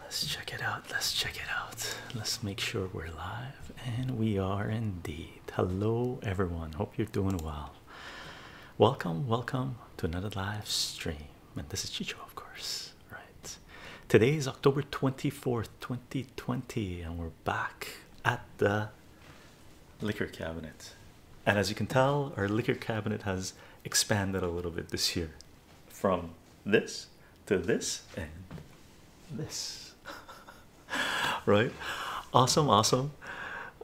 Let's check it out. Let's check it out. Let's make sure we're live. And we are indeed. Hello, everyone. Hope you're doing well. Welcome, welcome to another live stream. And this is Chicho, of course. Right. Today is October 24th, 2020, and we're back at the liquor cabinet. And as you can tell, our liquor cabinet has expanded a little bit this year from this to this and this. right? Awesome, awesome.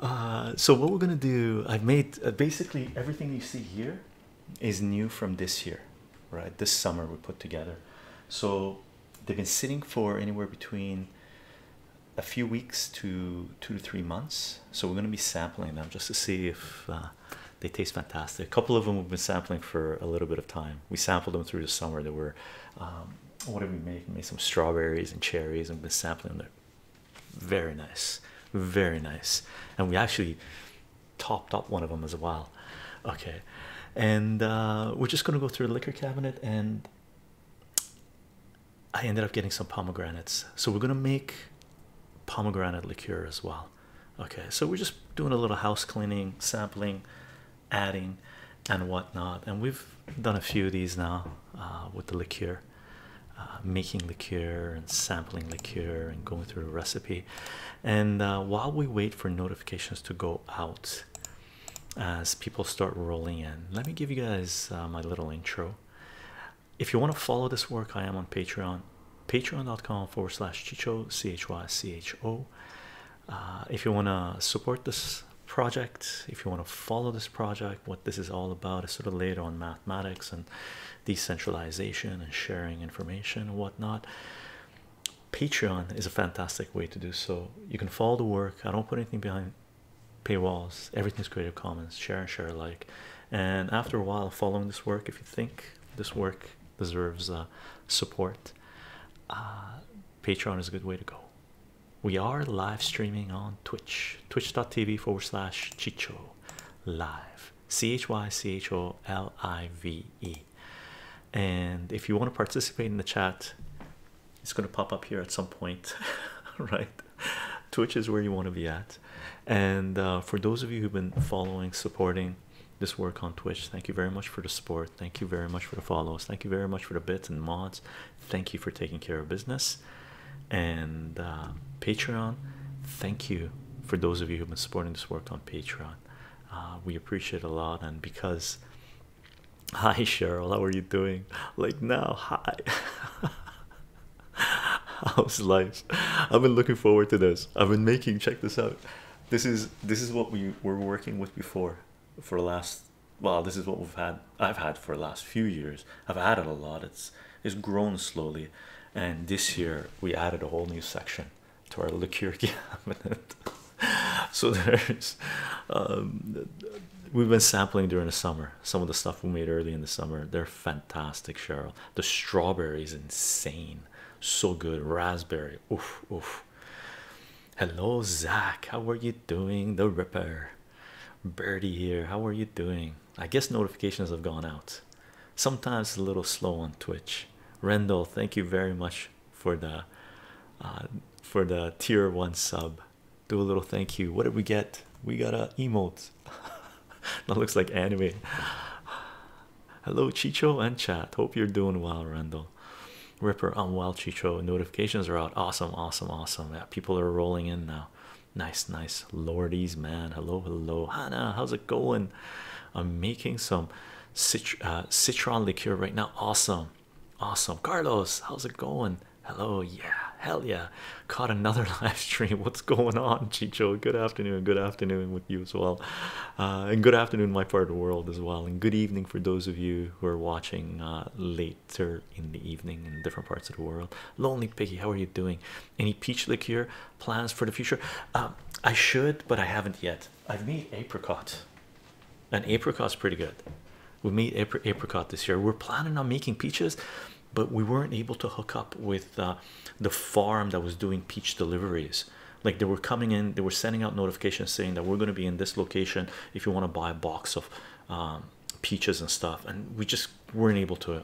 Uh, so, what we're gonna do, I've made uh, basically everything you see here is new from this year, right? This summer we put together. So, they've been sitting for anywhere between a few weeks to two to three months. So we're going to be sampling them just to see if uh, they taste fantastic. A couple of them we've been sampling for a little bit of time. We sampled them through the summer. There were, um, what did we make? We made some strawberries and cherries and been sampling them. Very nice, very nice. And we actually topped up one of them as well. Okay, and uh, we're just going to go through the liquor cabinet and I ended up getting some pomegranates. So we're gonna make pomegranate liqueur as well. Okay, so we're just doing a little house cleaning, sampling, adding, and whatnot. And we've done a few of these now uh, with the liqueur, uh, making liqueur and sampling liqueur and going through a recipe. And uh, while we wait for notifications to go out, as people start rolling in, let me give you guys my little intro if you want to follow this work, I am on Patreon, patreon.com forward slash chicho, C H Y C H O. Uh, if you want to support this project, if you want to follow this project, what this is all about is sort of later on mathematics and decentralization and sharing information and whatnot. Patreon is a fantastic way to do so. You can follow the work. I don't put anything behind paywalls everything's creative commons share and share alike and after a while following this work if you think this work deserves uh, support uh, patreon is a good way to go we are live streaming on twitch twitch.tv forward slash chicho live c-h-y-c-h-o-l-i-v-e and if you want to participate in the chat it's going to pop up here at some point right Twitch is where you want to be at. And uh, for those of you who've been following, supporting this work on Twitch, thank you very much for the support. Thank you very much for the follows. Thank you very much for the bits and mods. Thank you for taking care of business. And uh, Patreon, thank you for those of you who've been supporting this work on Patreon. Uh, we appreciate a lot. And because Hi Cheryl, how are you doing? Like now, hi. House life. I've been looking forward to this. I've been making check this out. This is this is what we were working with before for the last well, this is what we've had I've had for the last few years. I've added a lot. It's it's grown slowly. And this year we added a whole new section to our liquor cabinet. so there's um we've been sampling during the summer some of the stuff we made early in the summer. There fantastic, Cheryl. The strawberry is insane, so good. Raspberry, oof, oof. Hello, Zach. How are you doing? The Ripper, Birdie here. How are you doing? I guess notifications have gone out. Sometimes a little slow on Twitch. Rendell, thank you very much for the uh, for the tier one sub. Do a little thank you. What did we get? We got a uh, emote. that looks like anime. Hello, Chicho and chat. Hope you're doing well, Randall. Ripper, I'm well, Chicho. Notifications are out. Awesome, awesome, awesome. Yeah, people are rolling in now. Nice, nice. Lordies, man. Hello, hello. Hannah, how's it going? I'm making some uh, citron liqueur right now. Awesome, awesome. Carlos, how's it going? Hello, yeah, hell yeah caught another live stream. What's going on, Chicho? Good afternoon, good afternoon with you as well. Uh, and good afternoon, my part of the world as well. And good evening for those of you who are watching uh, later in the evening in different parts of the world. Lonely Picky, how are you doing? Any peach liquor plans for the future? Um, I should, but I haven't yet. I've made apricot. and apricot's pretty good. We made apricot this year. We're planning on making peaches but we weren't able to hook up with uh, the farm that was doing peach deliveries. Like they were coming in, they were sending out notifications saying that we're going to be in this location if you want to buy a box of um, peaches and stuff, and we just weren't able to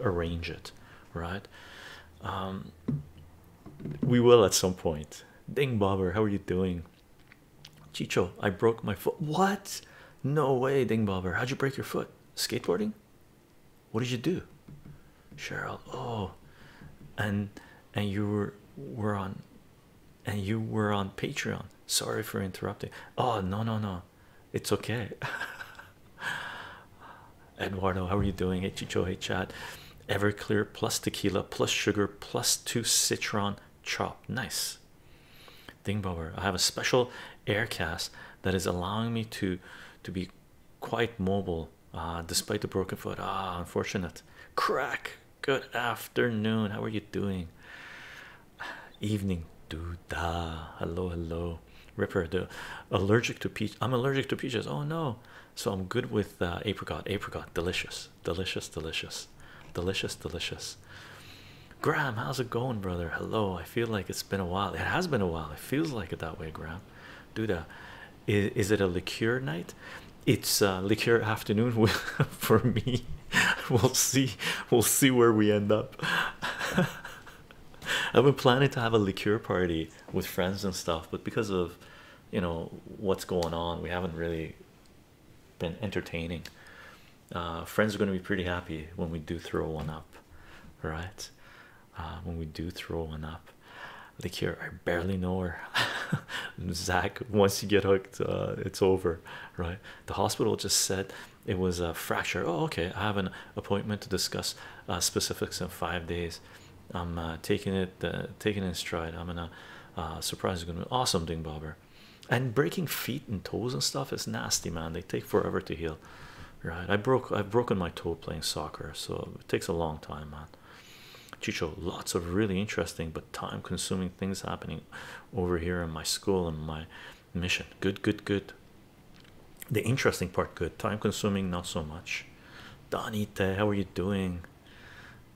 arrange it, right? Um, we will at some point. Ding Bobber, how are you doing? Chicho, I broke my foot. What? No way, Ding Bobber. How'd you break your foot? Skateboarding? What did you do, Cheryl? Oh, and and you were were on, and you were on Patreon. Sorry for interrupting. Oh no no no, it's okay. Eduardo, how are you doing? Hey Chicho, Everclear plus tequila plus sugar plus two citron chop. Nice. Ding I have a special air cast that is allowing me to to be quite mobile uh, despite the broken foot. Ah, unfortunate. Crack. Good afternoon. How are you doing? Evening. Do da. Hello, hello. Ripper. The allergic to peach. I'm allergic to peaches. Oh no. So I'm good with uh, apricot. Apricot. Delicious. Delicious. Delicious. Delicious. Delicious. Graham, how's it going, brother? Hello. I feel like it's been a while. It has been a while. It feels like it that way, Graham. Do that. Uh, is, is it a liqueur night? It's uh, liqueur afternoon for me. We'll see. We'll see where we end up. I've been planning to have a liqueur party with friends and stuff, but because of you know what's going on, we haven't really been entertaining. Uh, friends are going to be pretty happy when we do throw one up, right? Uh, when we do throw one up. Like here, I barely know her. Zach, once you get hooked, uh, it's over, right? The hospital just said it was a fracture. Oh, okay. I have an appointment to discuss uh, specifics in five days. I'm taking it, taking it stride. I'm gonna surprise is Gonna be awesome, Ding Bobber. And breaking feet and toes and stuff is nasty, man. They take forever to heal right? I broke I've broken my toe playing soccer, so it takes a long time, man. Chicho, lots of really interesting but time-consuming things happening over here in my school and my mission. Good, good, good. The interesting part, good. Time-consuming, not so much. Donita, how are you doing?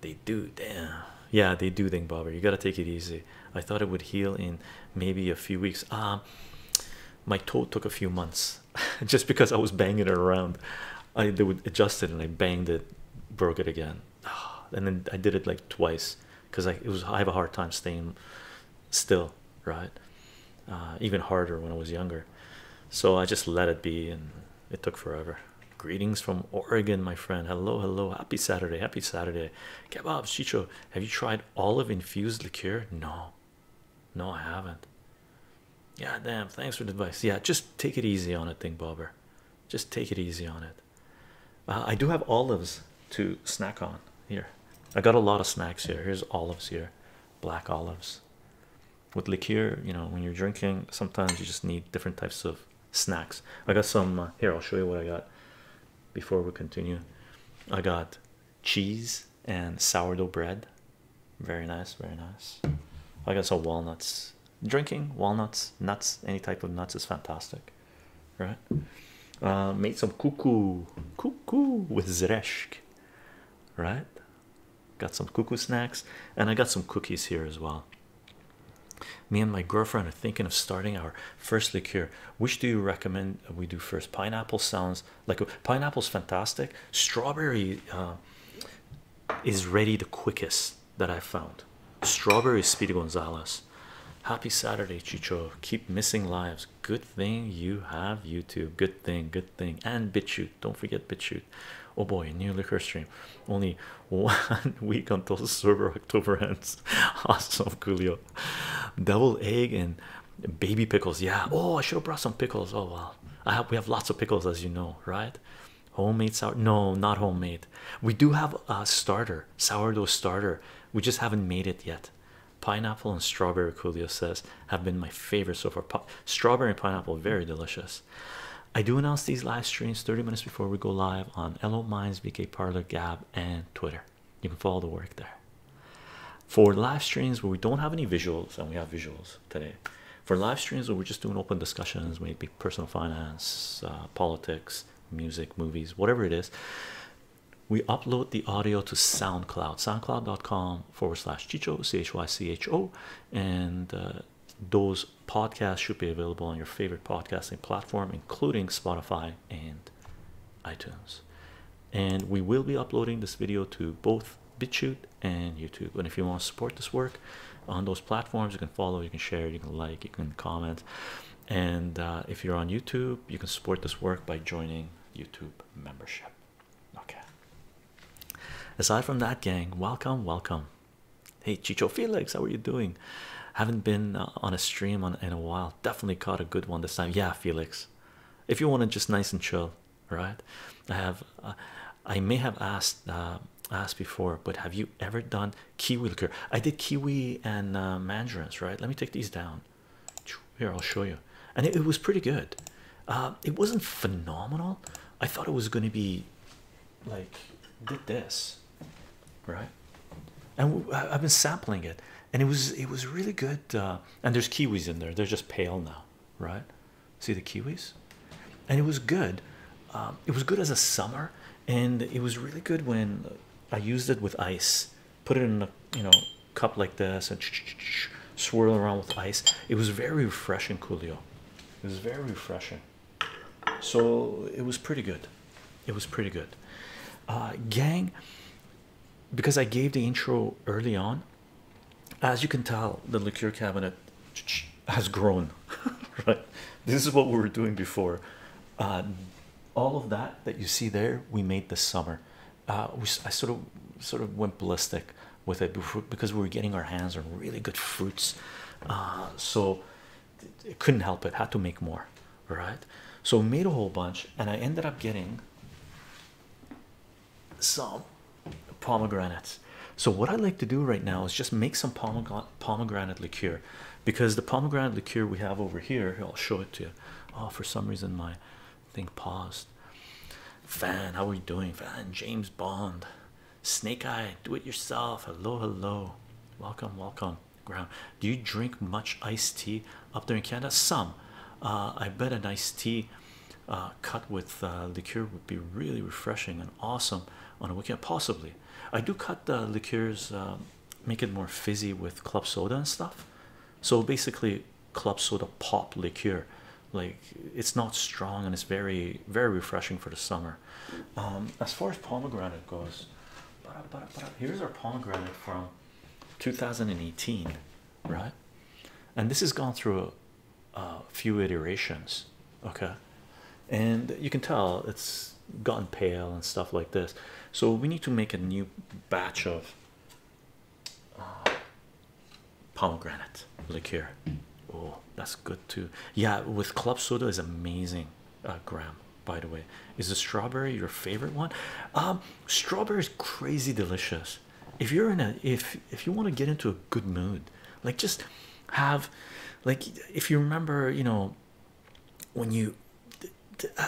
They do, damn. Yeah, they do, Ding Bobber. You gotta take it easy. I thought it would heal in maybe a few weeks. Ah my toe took a few months just because I was banging it around. I they would adjust it and I banged it, broke it again, and then I did it like twice because I it was I have a hard time staying still, right? Uh, even harder when I was younger, so I just let it be, and it took forever. Greetings from Oregon, my friend. Hello, hello. Happy Saturday. Happy Saturday. Kebab, Chicho. Have you tried olive infused liqueur? No, no, I haven't. Yeah, damn. Thanks for the advice. Yeah, just take it easy on it, thing bobber. Just take it easy on it. Uh, I do have olives to snack on here. I got a lot of snacks here. Here's olives here, black olives. With liqueur, you know, when you're drinking, sometimes you just need different types of snacks. I got some uh, here. I'll show you what I got before we continue. I got cheese and sourdough bread. Very nice, very nice. I got some walnuts. Drinking walnuts, nuts, any type of nuts is fantastic, right? Uh, made some cuckoo, cuckoo with zreshk, right? Got some cuckoo snacks, and I got some cookies here as well. Me and my girlfriend are thinking of starting our first liqueur. Which do you recommend we do first? Pineapple sounds like pineapple is fantastic strawberry uh, is ready the quickest that i found strawberry speedy gonzalez happy saturday chicho keep missing lives good thing you have youtube good thing good thing and bitchute don't forget bitchute oh boy new liquor stream only one week until the server october ends awesome coolio double egg and baby pickles yeah oh i should have brought some pickles oh well i have we have lots of pickles as you know right homemade sour no not homemade we do have a starter sourdough starter we just haven't made it yet pineapple and strawberry coolio says have been my favorites so far Pop strawberry and pineapple very delicious i do announce these live streams 30 minutes before we go live on Elo minds vk parlor gab and twitter you can follow the work there for live streams where we don't have any visuals, and we have visuals today, for live streams where we're just doing open discussions, maybe personal finance, uh, politics, music, movies, whatever it is, we upload the audio to SoundCloud, soundcloud.com forward slash Chicho, C H Y C H O, and uh, those podcasts should be available on your favorite podcasting platform, including Spotify and iTunes and we will be uploading this video to both BitChute and YouTube. And if you want to support this work on those platforms, you can follow, you can share, you can like, you can comment. And uh, if you're on YouTube, you can support this work by joining YouTube membership. Okay. Aside from that, gang, welcome, welcome. Hey, Chicho Felix, how are you doing? Haven't been uh, on a stream on in a while. Definitely caught a good one this time. Yeah, Felix. If you want to just nice and chill, right i have uh, i may have asked uh, asked before but have you ever done kiwi liqueur i did kiwi and uh, mandarins right let me take these down here i'll show you and it, was pretty good it wasn't phenomenal i thought it was going to be like did this right and i've been sampling it and it was it was really good and there's kiwis in there they're just pale now right? See the kiwis, and it was good. Um, it was good as a summer, and it was really good when I used it with ice. Put it in a you know cup like this and swirl around with ice. It was very refreshing, Coolio. It was very refreshing. So it was pretty good. It was pretty good, uh, gang. Because I gave the intro early on, as you can tell, the liqueur cabinet has grown. right, this is what we were doing before. Uh, all of that that you see there, we made this summer. Uh, I sort of sort of went ballistic with it because we were getting our hands on really good fruits. Uh, so it couldn't help it, had to make more. Right, so made a whole bunch, and I ended up getting some pomegranates. So what i like to do right now is just make some pomegranate pomegranate liqueur, because the pomegranate liqueur we have over here, I'll show it to you. Oh, for some reason my thing paused. Fan, how are we doing? Fan, James Bond, Snake Eye, do it yourself. Hello, hello, welcome, welcome. Ground. Do you drink much iced tea up there in Canada? Some. Uh, I bet a iced tea uh, cut with uh, liqueur would be really refreshing and awesome on a weekend. Possibly, I do cut the uh, liqueurs, uh, make it more fizzy with club soda and stuff. So basically, club soda pop liqueur, like it's not strong and it's very, very refreshing for the summer. Um, as far as pomegranate goes, here's our pomegranate from 2018 right? And this has gone through a, few iterations, okay? And you can tell it's gotten pale and stuff like this. So we need to make a new batch of uh, pomegranate liqueur. Oh, that's good too. Yeah, with club soda is amazing. Uh, Graham, by the way, is the strawberry your favorite one? Um, strawberry is crazy delicious if you're in a if if you want to get into a good mood like just have like if you remember you know when you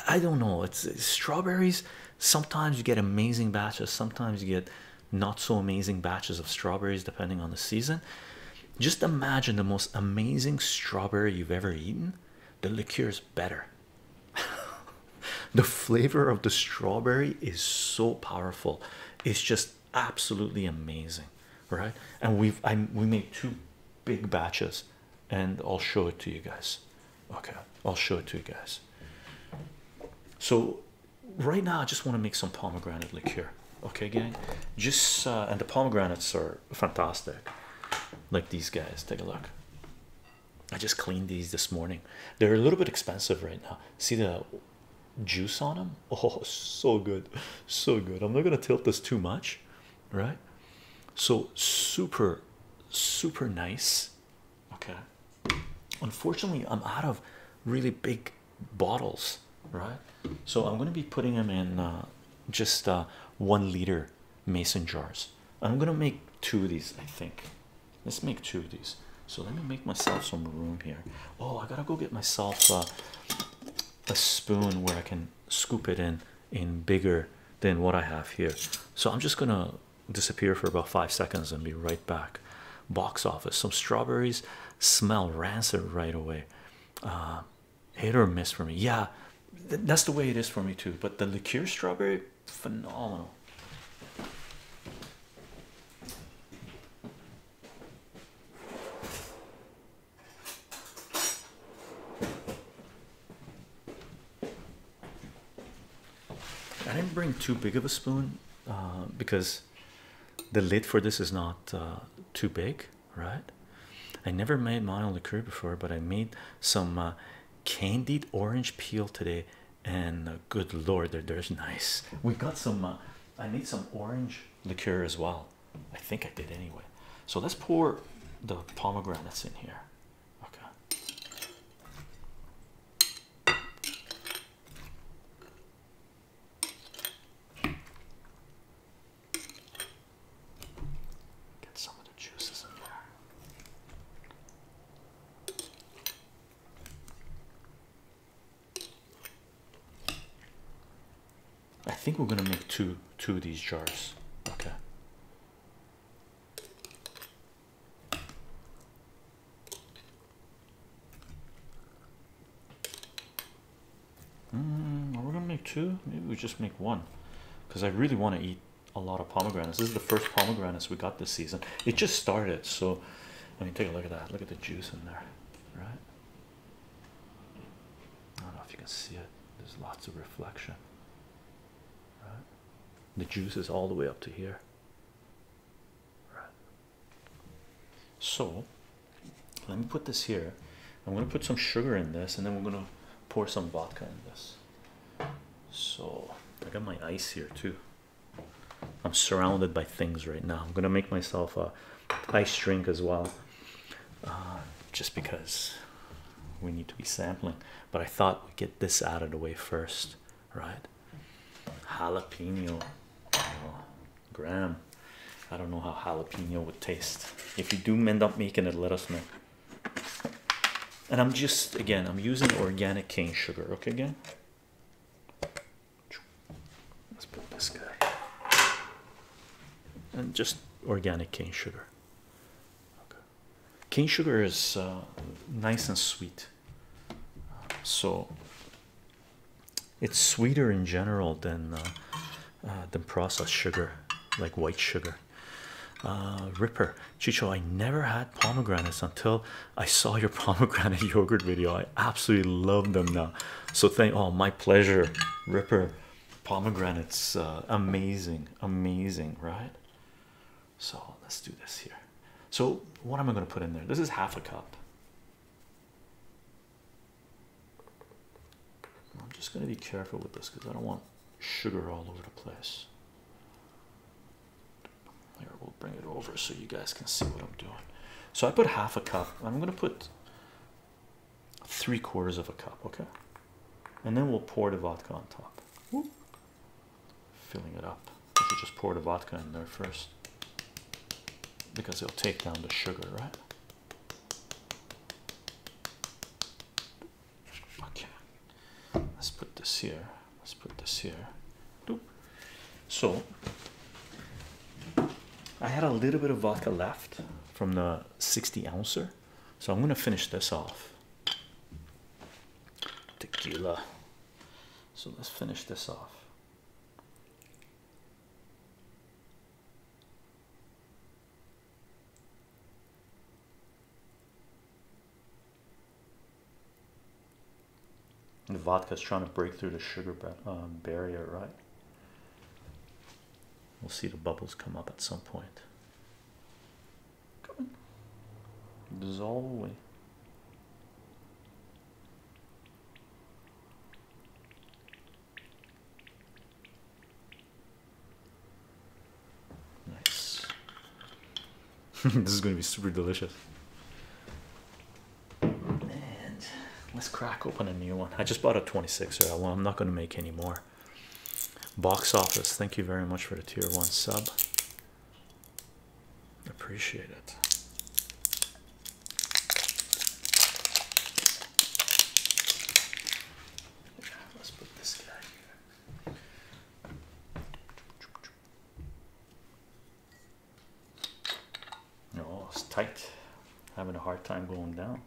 i don't know it's, it's strawberries sometimes you get amazing batches sometimes you get not so amazing batches of strawberries depending on the season just imagine the most amazing strawberry you've ever eaten the liqueur is better the flavor of the strawberry is so powerful it's just absolutely amazing right and we've i we made two big batches and i'll show it to you guys okay i'll show it to you guys so right now i just want to make some pomegranate liqueur okay gang just uh, and the pomegranates are fantastic like these guys take a look I just cleaned these this morning. They're a little bit expensive right now. See the juice on them? Oh, so good, so good. I'm not gonna tilt this too much, right? So super, super nice. Okay. Unfortunately, I'm out of really big bottles, right? So I'm gonna be putting them in uh, just uh, one liter mason jars. I'm gonna make two of these, I think. Let's make two of these. So let me make myself some room here. Oh, I gotta go get myself a spoon where I can scoop it in in bigger than what I have here. So I'm just gonna disappear for about five seconds and be right back. Box office. Some strawberries smell rancid right away. Uh, hit or miss for me. Yeah, that's the way it is for me too. But the liqueur strawberry phenomenal. I didn't bring too big of a spoon uh, because the lid for this is not uh, too big, right? I never made my own liqueur before, but I made some uh, candied orange peel today and uh, good lord they're there's nice we got some uh, i need some orange liqueur as well i think i did anyway so let's pour the pomegranates in here okay Get some of the juices in there. I think we're gonna make two two of these jars. Okay. Mm, are we gonna make two? Maybe we just make one, because I really want to eat a lot of pomegranates. This is the first pomegranates we got this season. It just started, so I mean, take a look at that. Look at the juice in there, right? I don't know if you can see it. There's lots of reflection, The juice is all the way up to here, right? So, let me put this here. I'm going to put some sugar in this, and then we're going to pour some vodka in this. So, I got my ice here too. I'm surrounded by things right now. I'm gonna make myself a ice drink as well, uh, just because we need to be sampling. But I thought we'd get this out of the way first, right? Jalapeno, Graham. I don't know how jalapeno would taste. If you do end up making it, let us know. And I'm just again, I'm using organic cane sugar. Okay, again, Let's put this guy and just organic cane sugar. Cane sugar is uh, nice and sweet, so it's sweeter in general than uh, uh, than processed sugar, like white sugar. Ripper Chicho, I never had pomegranates until I saw your pomegranate yogurt video. I absolutely love them now. So thank oh my pleasure, Ripper. Pomegranates uh, amazing, amazing, right? So let's do this here. So what am I gonna put in there? This is half a cup. I'm just gonna be careful with this because I don't want sugar all over the place. Here we'll bring it over so you guys can see what I'm doing. So I put half a cup. I'm gonna put three quarters of a cup, okay? And then we'll pour the vodka on top. Filling it up. I should just pour the vodka in there first. Because it'll take down the sugar, right? Okay. Let's put this here let's put this here. So I had a little bit of vodka left from the 60 ouncer, so I'm gonna finish this off. Tequila. So let's finish this off. The is trying to break through the sugar um, barrier, right? We'll see the bubbles come up at some point. Come on. Dissolve away. Nice. this is going to be super delicious. And let's crack open a new one. I just bought a 26er. Well, I'm not going to make any more. Box office. Thank you very much for the tier one sub. Appreciate it. Let's put this guy here. Oh, it's tight. Having a hard time going down.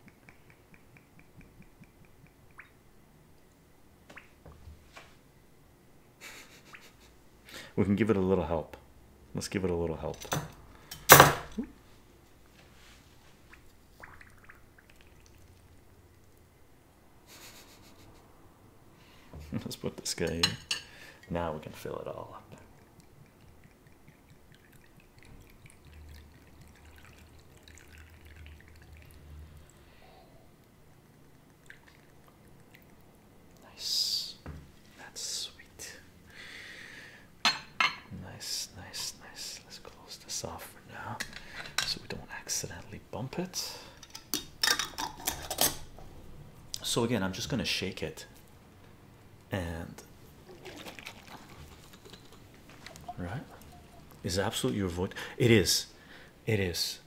we can give it a little help. Let's give it a little help. Let's put this guy here. Now we can fill it all up. Nice, that's sweet. Nice, nice, nice. Let's close this off for now so we don't accidentally bump it. So, again, I'm just going to shake it and right is absolutely your vote it is it is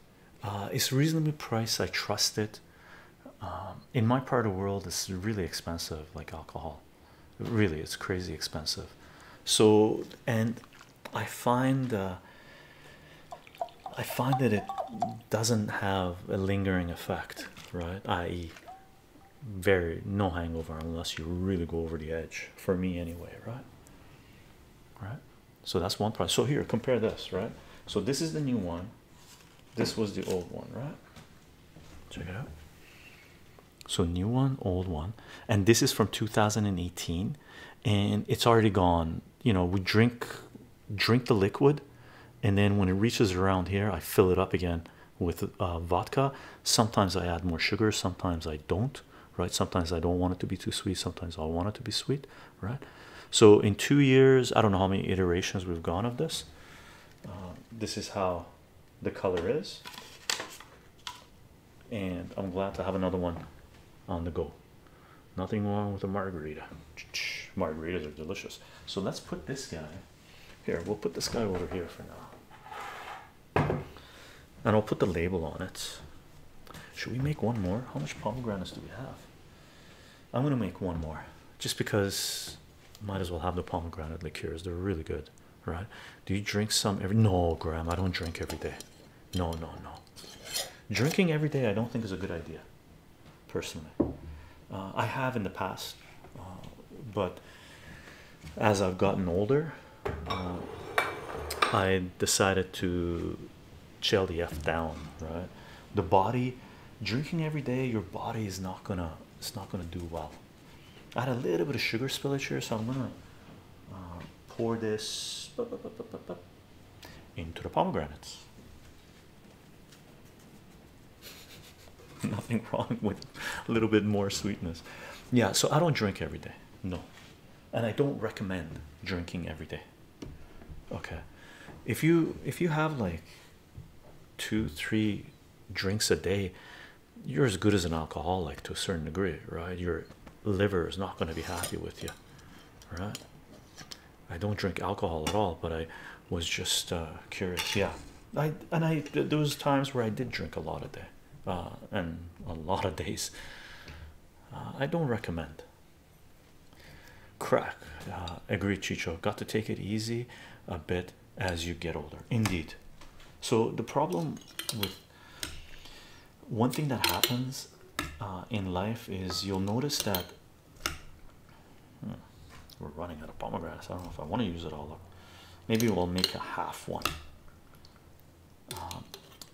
uh, it's reasonably priced i trust it um, in my part of the world it's really expensive like alcohol really it's crazy expensive so and i find uh, i find that it doesn't have a lingering effect, right? I.e., very no hangover unless you really go over the edge. For me, anyway, right? Right. So that's one price. So here, compare this, right? So this is the new one. This was the old one, right? Check it out. So new one, old one, and this is from 2018, and it's already gone. You know, we drink drink the liquid and then when it reaches around here i fill it up again with uh, vodka sometimes i add more sugar sometimes i don't right sometimes i don't want it to be too sweet sometimes i want it to be sweet right so in two years i don't know how many iterations we've gone of this uh, this is how the color is and i'm glad to have another one on the go nothing wrong with a margarita margaritas are delicious so let's put this guy here, we'll put this guy over here for now. And I'll put the label on it. Should we make one more? How much pomegranates do we have? I'm gonna make one more just because might as well have the pomegranate liqueurs, they're really good, right? Do you drink some every no, Graham? I don't drink every day. No, no, no. Drinking every day, I don't think is a good idea personally. Uh, I have in the past, uh, but as I've gotten older, uh, I decided to chill the F down, right? The body drinking every day, your body is not gonna, it's not gonna do well. I had a little bit of sugar spillage here, so I'm gonna pour this into the pomegranates. Nothing wrong with a little bit more sweetness. Yeah, so I don't drink every day. No. And I don't recommend drinking every day. Okay. If you if you have like two, three drinks a day, you're as good as an alcoholic to a certain degree, right? Your liver is not going to be happy with you, right? I don't drink alcohol at all, but I was just uh, curious. Yeah, I and I there was times where I did drink a lot of day, uh, and a lot of days. Uh, I don't recommend. Crack. agreed, Chicho. Got to take it easy a bit as you get older. Indeed. So the problem with one thing that happens in life is you'll notice that Hmm. We're running out of pomegranate. I don't know if I want to use it all up. Maybe we'll make a half one. Um,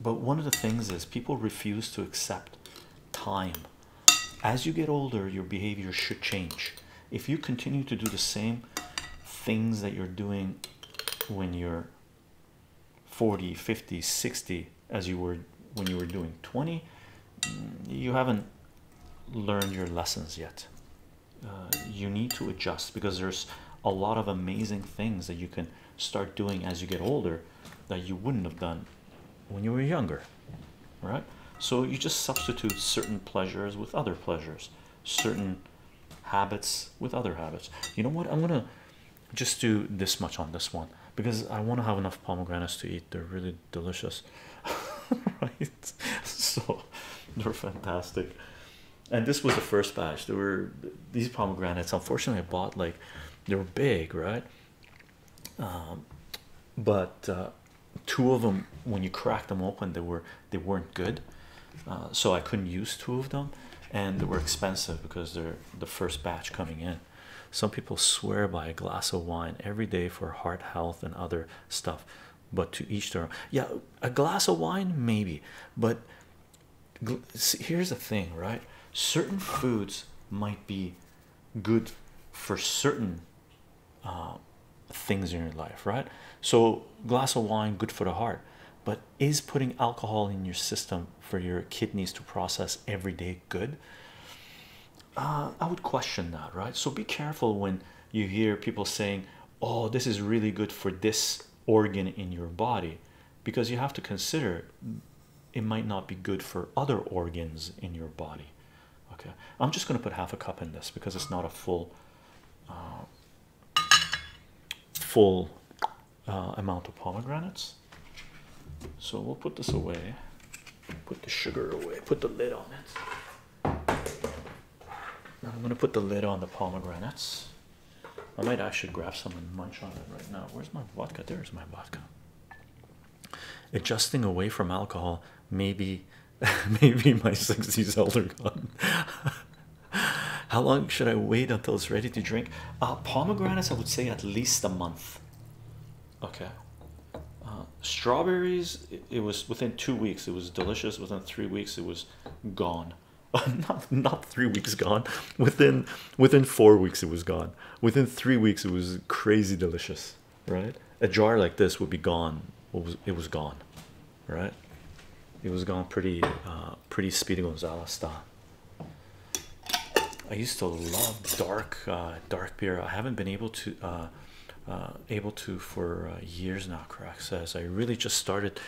but one of the things is people refuse to accept time. As you get older, your behavior should change. If you continue to do the same things that you're doing when you're 40, 50, 60, as you were when you were doing 20, you haven't learned your lessons yet. Uh, you need to adjust because there's a lot of amazing things that you can start doing as you get older that you wouldn't have done when you were younger, right? So you just substitute certain pleasures with other pleasures, certain habits with other habits. You know what? I'm gonna just do this much on this one because I want to have enough pomegranates to eat, they're really delicious, right? So they're fantastic. And this was the first batch. There were these pomegranates. Unfortunately, I bought like they were big, right? Um, but uh, two of them, when you cracked them open, they were they weren't good. Uh, so I couldn't use two of them, and they were expensive because they're the first batch coming in. Some people swear by a glass of wine every day for heart health and other stuff but to each their own. Yeah, a glass of wine, maybe, but here's the thing, right? Certain foods might be good for certain uh, things in your life, right? So, glass of wine, good for the heart, but is putting alcohol in your system for your kidneys to process every day good? Uh, I would question that, right? So be careful when you hear people saying, "Oh, this is really good for this organ in your body," because you have to consider it might not be good for other organs in your body. Okay, I'm just going to put half a cup in this because it's not a full, uh, full uh, amount of pomegranates. So we'll put this away. Put the sugar away. Put the lid on it. I'm gonna put the lid on the pomegranates. I might actually grab some and munch on it right now. Where's my vodka? There's my vodka. Adjusting away from alcohol, maybe, maybe my 60s elder gone. How long should I wait until it's ready to drink? Uh, pomegranates, I would say at least a month. Okay, uh, strawberries it, was within two weeks it was delicious within three weeks it was gone not not three weeks gone within within four weeks it was gone within three weeks it was crazy delicious right a jar like this would be gone it was gone right it was gone pretty uh pretty speedy Gonzales style i used to love dark uh dark beer i haven't been able to uh uh, uh, able to for uh, years now. Crack says I really just started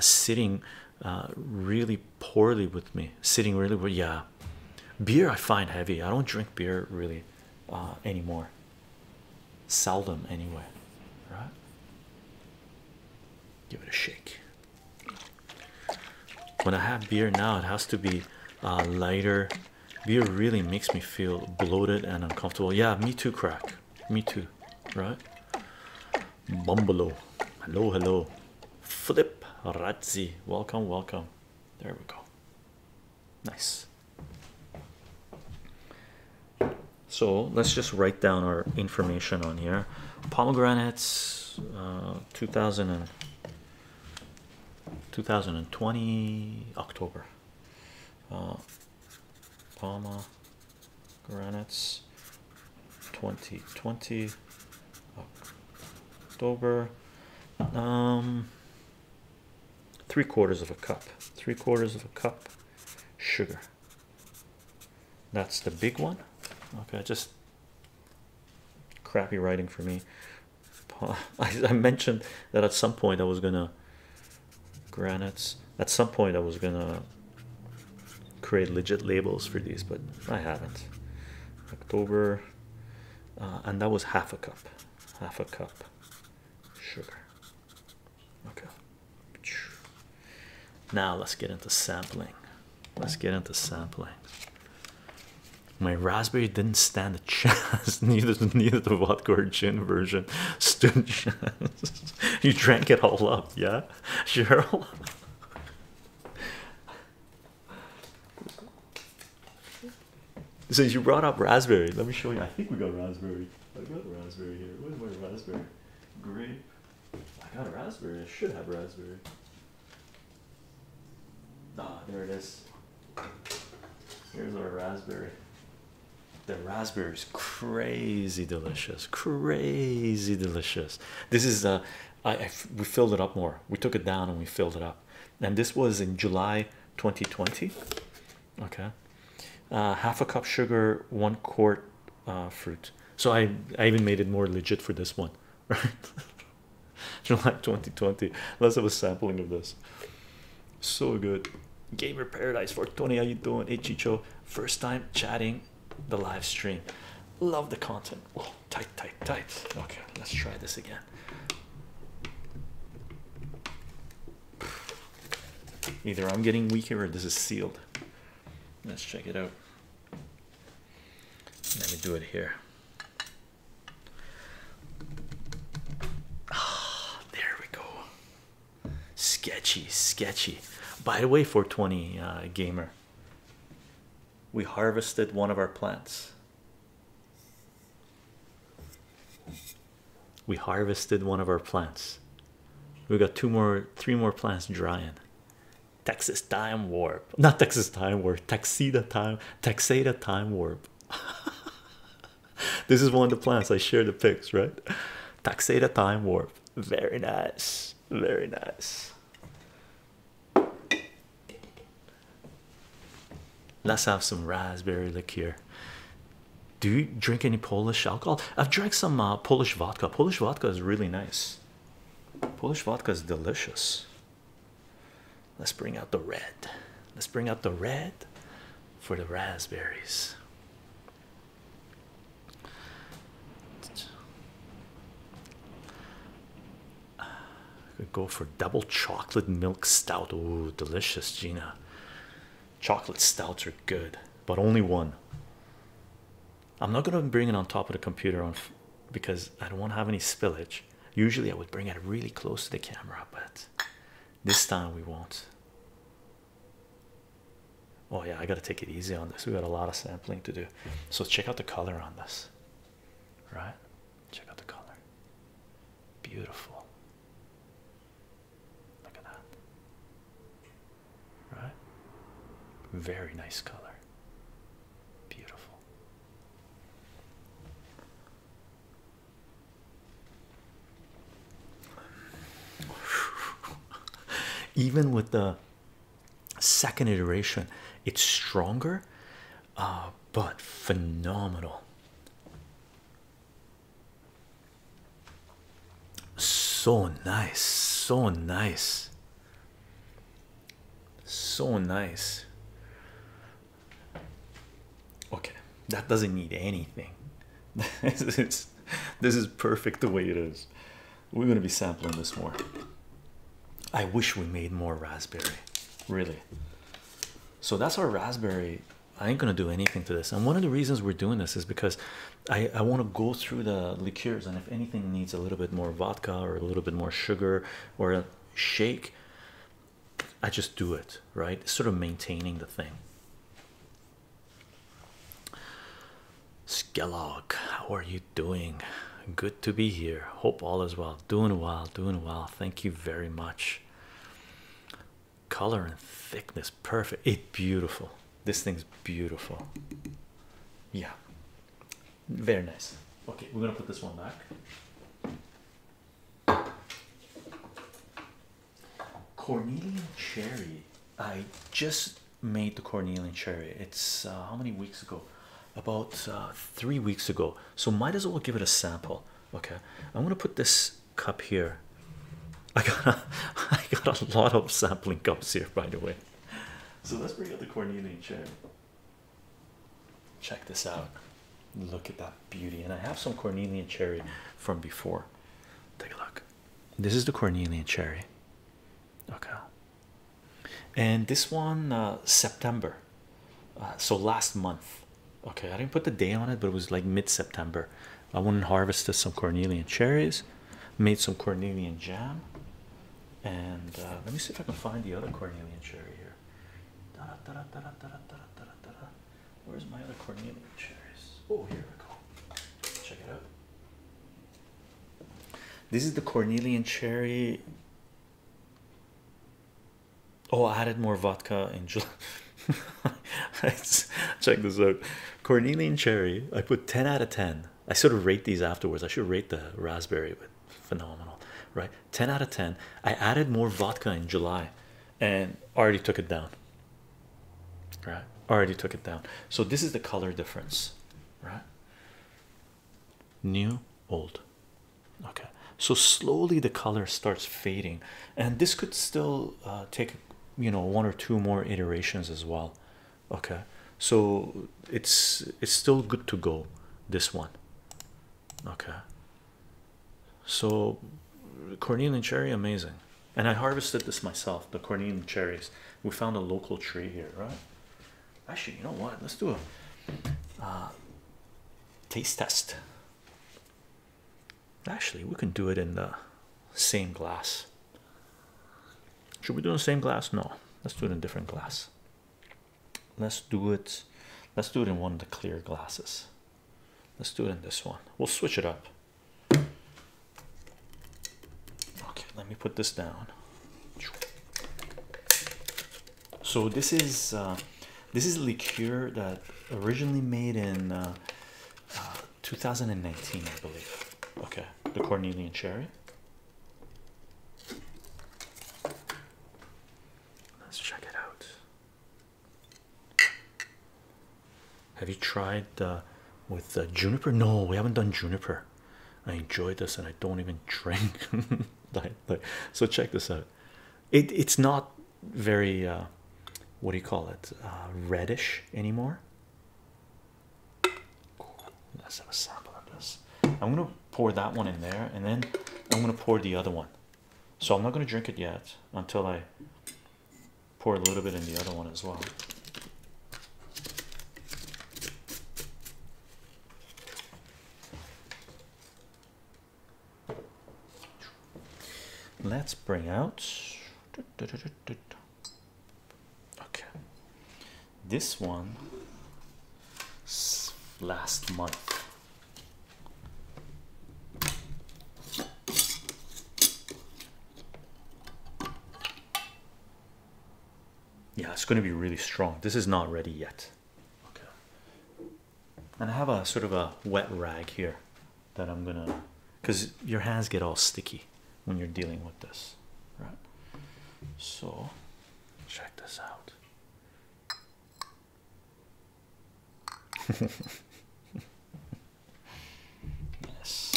sitting really poorly with me. Sitting really well. Yeah, beer I find heavy. I don't drink beer really anymore. Seldom anyway. Right? Give it a shake. When I have beer now, it has to be lighter beer really makes me feel bloated and uncomfortable. Yeah, me too, crack. Me too, right? Bumbalo. Hello, hello. Flip Razzi. Welcome, welcome. There we go. Nice. So let's just write down our information on here. Pomegranates, uh, 2000 2020 October uh, Palma granites 2020 October um, three quarters of a cup three quarters of a cup sugar that's the big one okay just crappy writing for me I mentioned that at some point I was gonna granites. At some point, I was gonna create legit labels for these, but I haven't. October, uh, and that was half a cup, half a cup sugar. Okay. Now let's get into sampling. Let's get into sampling. My raspberry didn't stand a chance. neither, neither did hardcore gin version. you drank it all up, yeah, Cheryl. Since you brought up raspberry, let me show you. I think we got raspberry. I got raspberry here. Where's my raspberry? Grape. I got a raspberry. I should have raspberry. Ah, there it is. Here's our raspberry. The raspberries, crazy delicious, crazy delicious. This is uh, I, we filled it up more. We took it down and we filled it up, and this was in July 2020. Okay, uh, half a cup sugar, one quart uh, fruit. So I I even made it more legit for this one, right? July 2020. Let's have a sampling of this. So good. Gamer Paradise for Tony. How you doing? Hey Chicho. First time chatting the live stream. Love the content. Oh, tight, tight, tight. Okay, let's try this again. Either I'm getting weaker or this is sealed. Let's check it out. Let me do it here. Ah, there we go. Sketchy, sketchy. By the way, 420 uh, gamer, we harvested one of our plants. We harvested one of our plants. We got two more, three more plants drying. Texas time warp, not Texas time warp, Texeda time, Texeda time warp. this is one of the plants I share the pics, right? Taxata time warp. Very nice. Very nice. Let's have some raspberry liqueur. Do you drink any Polish alcohol? I've drank some uh, Polish vodka. Polish vodka is really nice. Polish vodka is delicious. Let's bring out the red. Let's bring out the red for the raspberries. Could go for double chocolate milk stout. Oh, delicious, Gina. Chocolate stouts are good, but only one. I'm not gonna bring it on top of the computer on because I don't want to have any spillage. Usually, I would bring it really close to the camera, but this time we won't. Oh, yeah, I gotta take it easy on this. We got a lot of sampling to do, so check out the color on this, right? Check out the color, beautiful. Look at that, right? Very nice color, beautiful. Even with the second iteration, it's stronger, uh, but phenomenal. So nice, so nice, so nice. Okay, that doesn't need anything. this is perfect the way it is. We're gonna be sampling this more. I wish we made more raspberry, really. So that's our raspberry. I ain't gonna do anything to this. And one of the reasons we're doing this is because I, I want to go through the liqueurs, and if anything needs a little bit more vodka or a little bit more sugar or a shake, I just do it, right? sort of maintaining the thing. Skellog, how are you doing? Good to be here. Hope all is well. Doing well, doing well. Thank you very much. Color and thickness, perfect. It's beautiful. This thing's beautiful. Yeah, very nice. Okay, we're gonna put this one back. Cornelian cherry. I just made the Cornelian cherry. It's uh, how many weeks ago? About uh, three weeks ago. So might as well give it a sample. Okay, I'm gonna put this cup here. I got a, I got a lot of sampling cups here, by the way. So let's bring out the Cornelian cherry. Check this out. Look at that beauty, and I have some Cornelian cherry from before. Take a look. This is the Cornelian cherry. Okay. And this one, uh, September. Uh, so last month. Okay, I didn't put the day on it, but it was like mid September. I went and harvested some Cornelian cherries, made some Cornelian jam. And uh, let me see if I can find the other Cornelian cherry here. Where's my other cornelian cherries? Oh, here we go. Check it out. This is the Cornelian cherry. Oh, I added more vodka in July. check this out. Cornelian cherry. I put 10 out of 10. I sort of rate these afterwards. I should rate the raspberry, but phenomenal, right? 10 out of 10. I added more vodka in July and already took it down right already took it down so this is the color difference right new old okay so slowly the color starts fading and this could still uh, take you know one or two more iterations as well okay so it's it's still good to go this one okay so cornelian cherry amazing and I harvested this myself, the corneum cherries. We found a local tree here, right? Actually, you know what? Let's do a uh, taste test. Actually, we can do it in the same glass. Should we do the same glass? No. Let's do it in different glass. Let's do it. Let's do it in one of the clear glasses. Let's do it in this one. We'll switch it up. Okay, let me put this down. So this is uh, this is liqueur that originally made in uh, uh, 2019, I believe. Okay, the Cornelian cherry. Let's check it out. Have you tried with juniper? No, we haven't done juniper. I enjoy this, and I don't even drink. so check this out. it's not very uh, what do you call it? Uh, reddish anymore. Let's have a sample of this. I'm gonna pour that one in there, and then I'm gonna pour the other one. So I'm not gonna drink it yet until I pour a little bit in the other one as well. Let's bring out. Okay. This one last month. Yeah, it's going to be really strong. This is not ready yet. Okay. And I have a sort of a wet rag here that I'm going to because your hands get all sticky when you're dealing with this, right? So, check this out. Yes.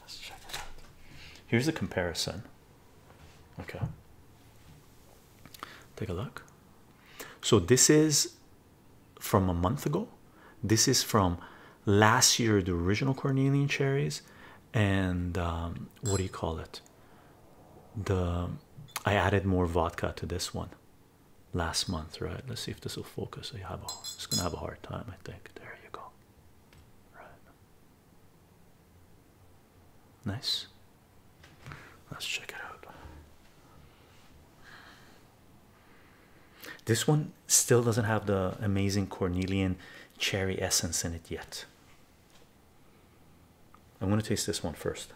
Let's check it out. Here's a comparison. Okay. Take a look. So this is from a month ago. This is from last year, the original Cornelian cherries, and um, what do you call it? The I added more vodka to this one last month, right? Let's see if this will focus. I have a, it's gonna have a hard time, I think. There you go. Right. Nice. Let's check it out. This one still doesn't have the amazing Cornelian cherry essence in it yet. I'm going to taste this one first.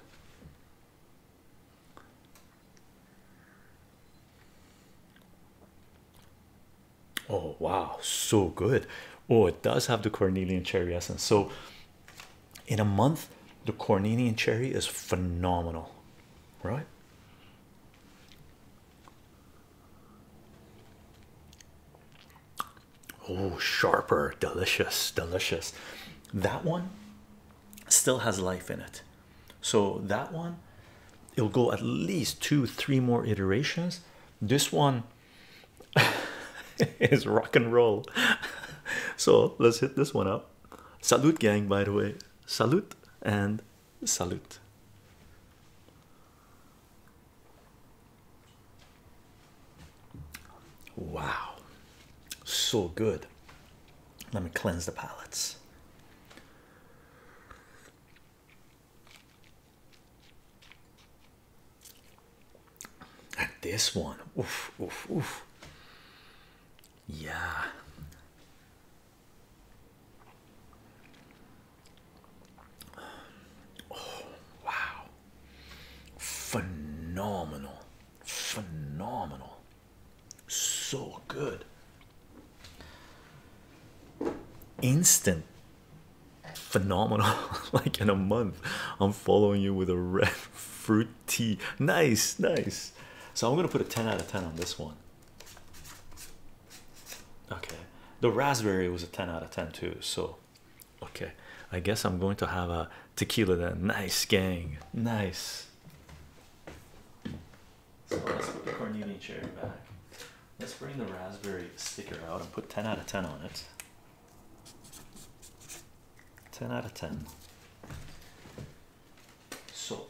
Oh wow, so good. Oh, it does have the Cornelian cherry essence. So in a month, the Cornelian cherry is phenomenal, right? Oh, sharper, delicious, delicious. That one still has life in it so that one it'll go at least two three more iterations this one is rock and roll so let's hit this one up salute gang by the way salute and salute wow so good let me cleanse the palettes and this one, oof, oof, oof. Yeah. Oh, wow. Phenomenal. Phenomenal. So good. Instant phenomenal. like in a month, I'm following you with a red fruit tea. Nice, nice. So I'm gonna put a 10 out of 10 on this one. Okay. The raspberry was a 10 out of 10 too, so okay. I guess I'm going to have a tequila then. Nice gang. Nice. So let's put the Cornelian cherry back. Let's bring the raspberry sticker out and put 10 out of 10 on it. 10 out of 10. So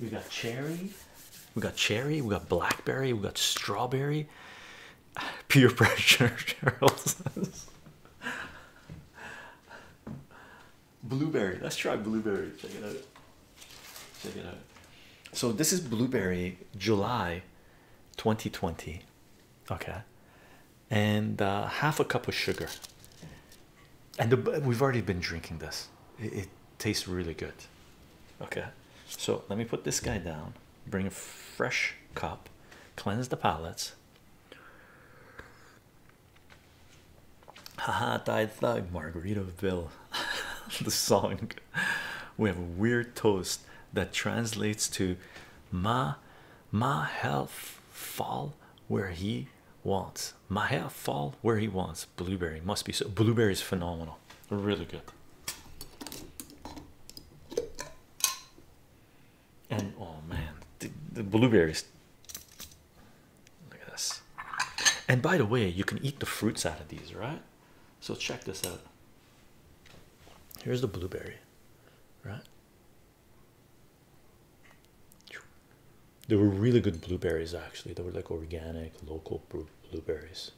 we got cherry, we got cherry, we got blackberry, we got strawberry, Pure pressure, Cheryl Blueberry. Let's try blueberry. Check it out. Check it out. So this is blueberry, July, 2020. Okay, and uh, half a cup of sugar. And we've already been drinking this. it tastes really good. Okay, so let me put this guy down bring a fresh cup, cleanse the palates. Haha, died thug, Margaritaville. the song. We have a weird toast that translates to Ma Ma hell fall where he wants. Ma hell fall where he wants. Blueberry must be so blueberry is phenomenal. Really good and oh man the, blueberries look at this and by the way you can eat the fruits out of these right so check this out here's the blueberry right there were really good blueberries actually they were like organic local blueberries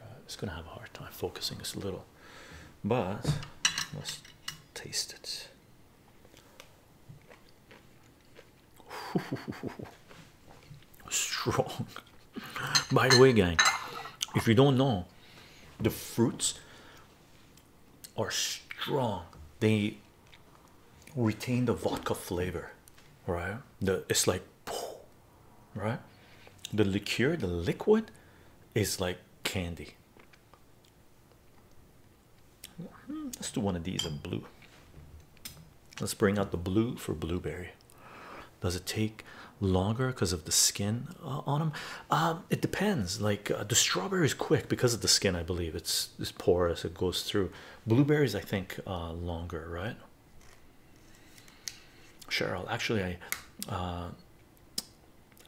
right? it's gonna have a hard time focusing this little but taste it. Strong. By the way, gang, if you don't know, the fruits are strong. They retain the vodka flavor, right? The it's like, right? The liqueur, the liquid, is like candy. Let's do one of these in blue. Let's bring out the blue for blueberry. Does it take longer because of the skin uh, on them? Um, it depends. Like uh, the strawberry is quick because of the skin, I believe. It's, it's porous, it goes through. Blueberries, I think, uh, longer, right? Cheryl, actually, I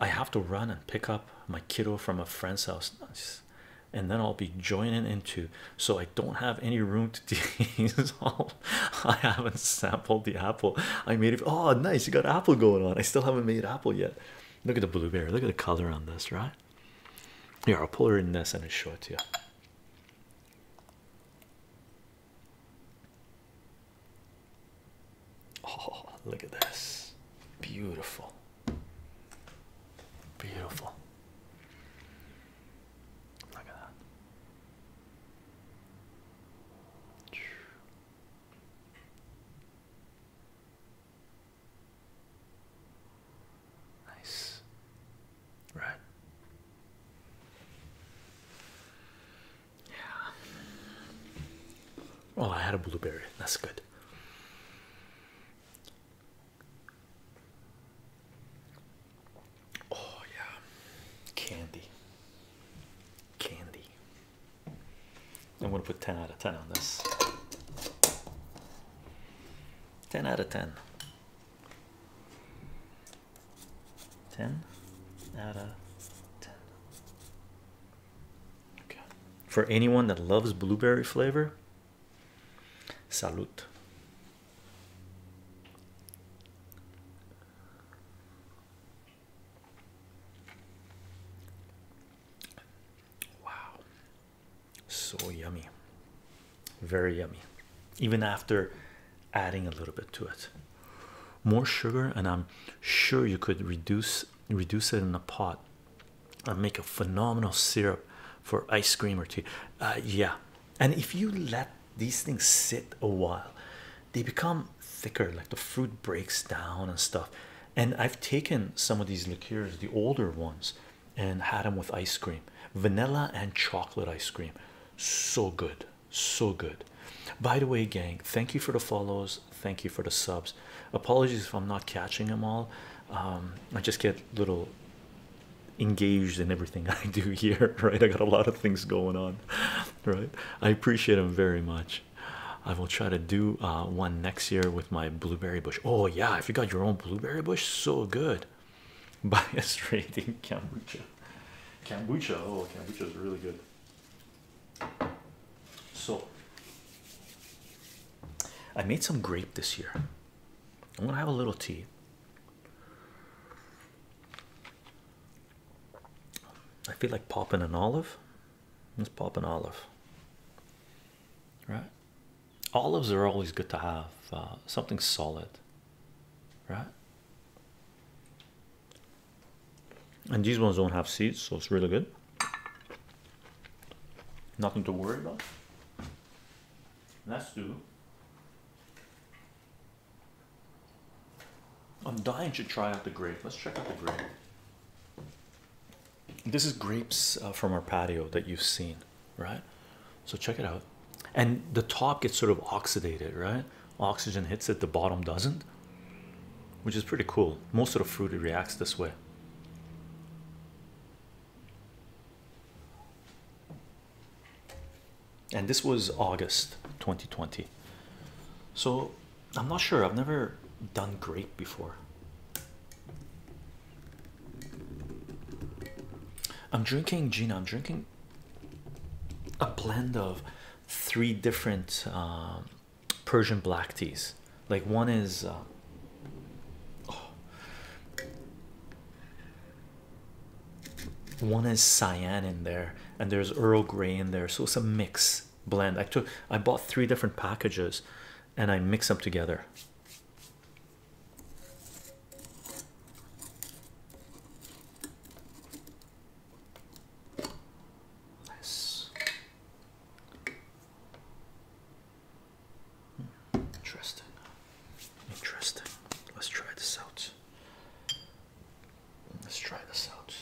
I have to run and pick up my kiddo from a friend's house, and then I'll be joining into so I don't have any room to tease. all I haven't sampled the apple. I made it. Oh, nice, you got apple going on. I still haven't made apple yet. Look at the blueberry, look at the color on this, right? Here, I'll pull her in this and I'll show it to you. Oh, look at this. Beautiful. Beautiful. Look at that. Nice. Right. Yeah. Oh, I had a blueberry. That's good. Oh, yeah. Candy. Candy. I'm going to put 10 out of 10 on this. 10 out of 10. 10 out of 10. For anyone that loves blueberry flavor, salute. Wow. So yummy. Very yummy. Even after adding a little bit to it. More sugar, and I'm sure you could reduce reduce it in a pot and make a phenomenal syrup for ice cream or tea uh, yeah and if you let these things sit a while they become thicker like the fruit breaks down and stuff and i've taken some of these liqueurs the older ones and had them with ice cream vanilla and chocolate ice cream so good so good by the way gang thank you for the follows Thank you for the subs. Apologies if I'm not catching them all. Um, I just get a little engaged in everything I do here, right? I got a lot of things going on, right? I appreciate them very much. I will try to do uh, one next year with my blueberry bush. Oh, yeah, if you got your own blueberry bush, so good. Bias rating kombucha. Kombucha, oh, kombucha is really good. So I made some grape this year. I'm gonna have a little tea. I feel like popping an olive. Let's pop an olive. Right? Olives are always good to have uh, something solid, right? and these ones don't have seeds so it's really good nothing to worry about let's do I'm dying to try out the grape let's check out the grape this is grapes uh, from our patio that you've seen right so check it out and the top gets sort of oxidated right oxygen hits it the bottom doesn't which is pretty cool. Most of the fruit reacts this way. And this was August 2020. So I'm not sure, I've never done grape before. I'm drinking, Gina, I'm drinking a blend of three different um, Persian black teas. Like one is uh, oh. one is cyan in there, and there's Earl Grey in there, so it's a mix blend. I took I bought three different packages and I mix up together. Interesting. Interesting. Let's try this out. Let's try this out.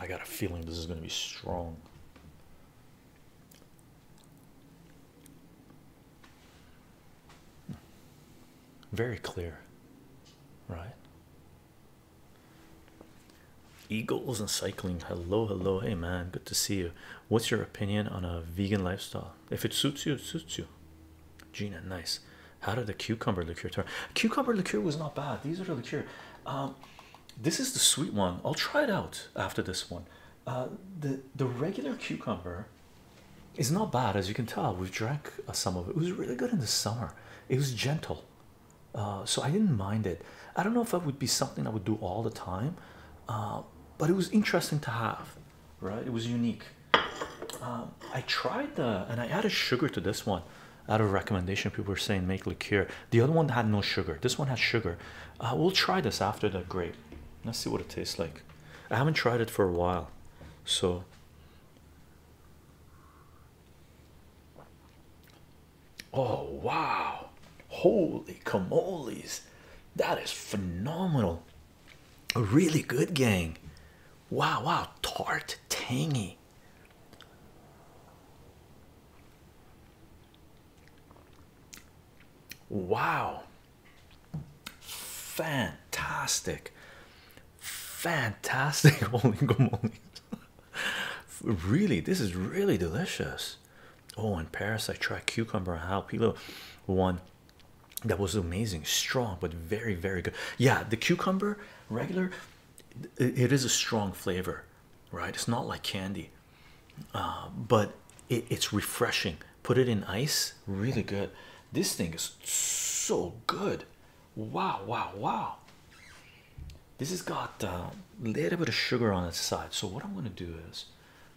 I got a feeling this is going to be strong. Very clear, right? Eagles and cycling. Hello, hello. Hey, man, good to see you. What's your opinion on a vegan lifestyle? If it suits you, suits you. Gina, nice. How did the cucumber liqueur turn? Cucumber liqueur was not bad. These are the liqueur. Um, this is the sweet one. I'll try it out after this one. Uh, the the regular cucumber is not bad, as you can tell. We've drank uh, some of it. It was really good in the summer. It was gentle, uh, so I didn't mind it. I don't know if that would be something I would do all the time, but it was interesting to have. Right? It was unique. Um, I tried the and I added sugar to this one. Out of recommendation, people were saying make liqueur. The other one had no sugar. This one has sugar. we'll try this after the grape. Let's see what it tastes like. I haven't tried it for a while, so oh wow, holy camoles, that is phenomenal! A really good gang. Wow, wow, tart, tangy. Wow, Fantastic, fantastic. Holy morning. really, this is really delicious. Oh, in Paris, I tried cucumber halpilo, one that was amazing, strong, but very, very good. Yeah, the cucumber regular, it is a strong flavor, right? It's not like candy, uh, but it's refreshing. Put it in ice, really good. This thing is so good. Wow, wow, wow. This has got uh, a little bit of sugar on its side. So, what I'm going to do is,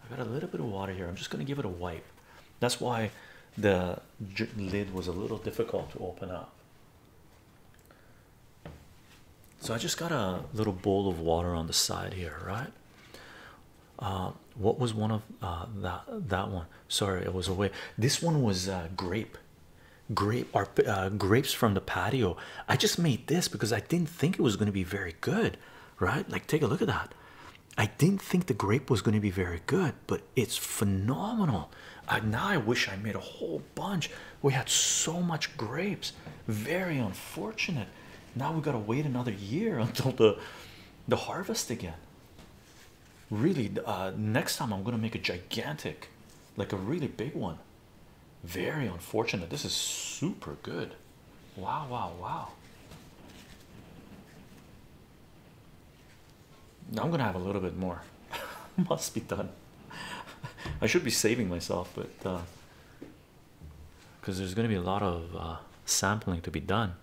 I've got a little bit of water here. I'm just going to give it a wipe. That's why the lid was a little difficult to open up. So, I just got a little bowl of water on the side here, right? Uh, what was one of uh, that that one sorry it was away this one was uh, grape grape grapes from the patio i just made this because i didn't think it was going to be very good right like take a look at that i didn't think the grape was going to be very good but it's phenomenal now i wish i made a whole bunch we had so much grapes very unfortunate now we got to wait another year until the the harvest again Really, uh, next time I'm gonna make a gigantic, like a really big one. Very unfortunate. This is super good. Wow, wow, wow. I'm gonna have a little bit more. Must be done. I should be saving myself, but because uh, there's gonna be a lot of uh, sampling to be done.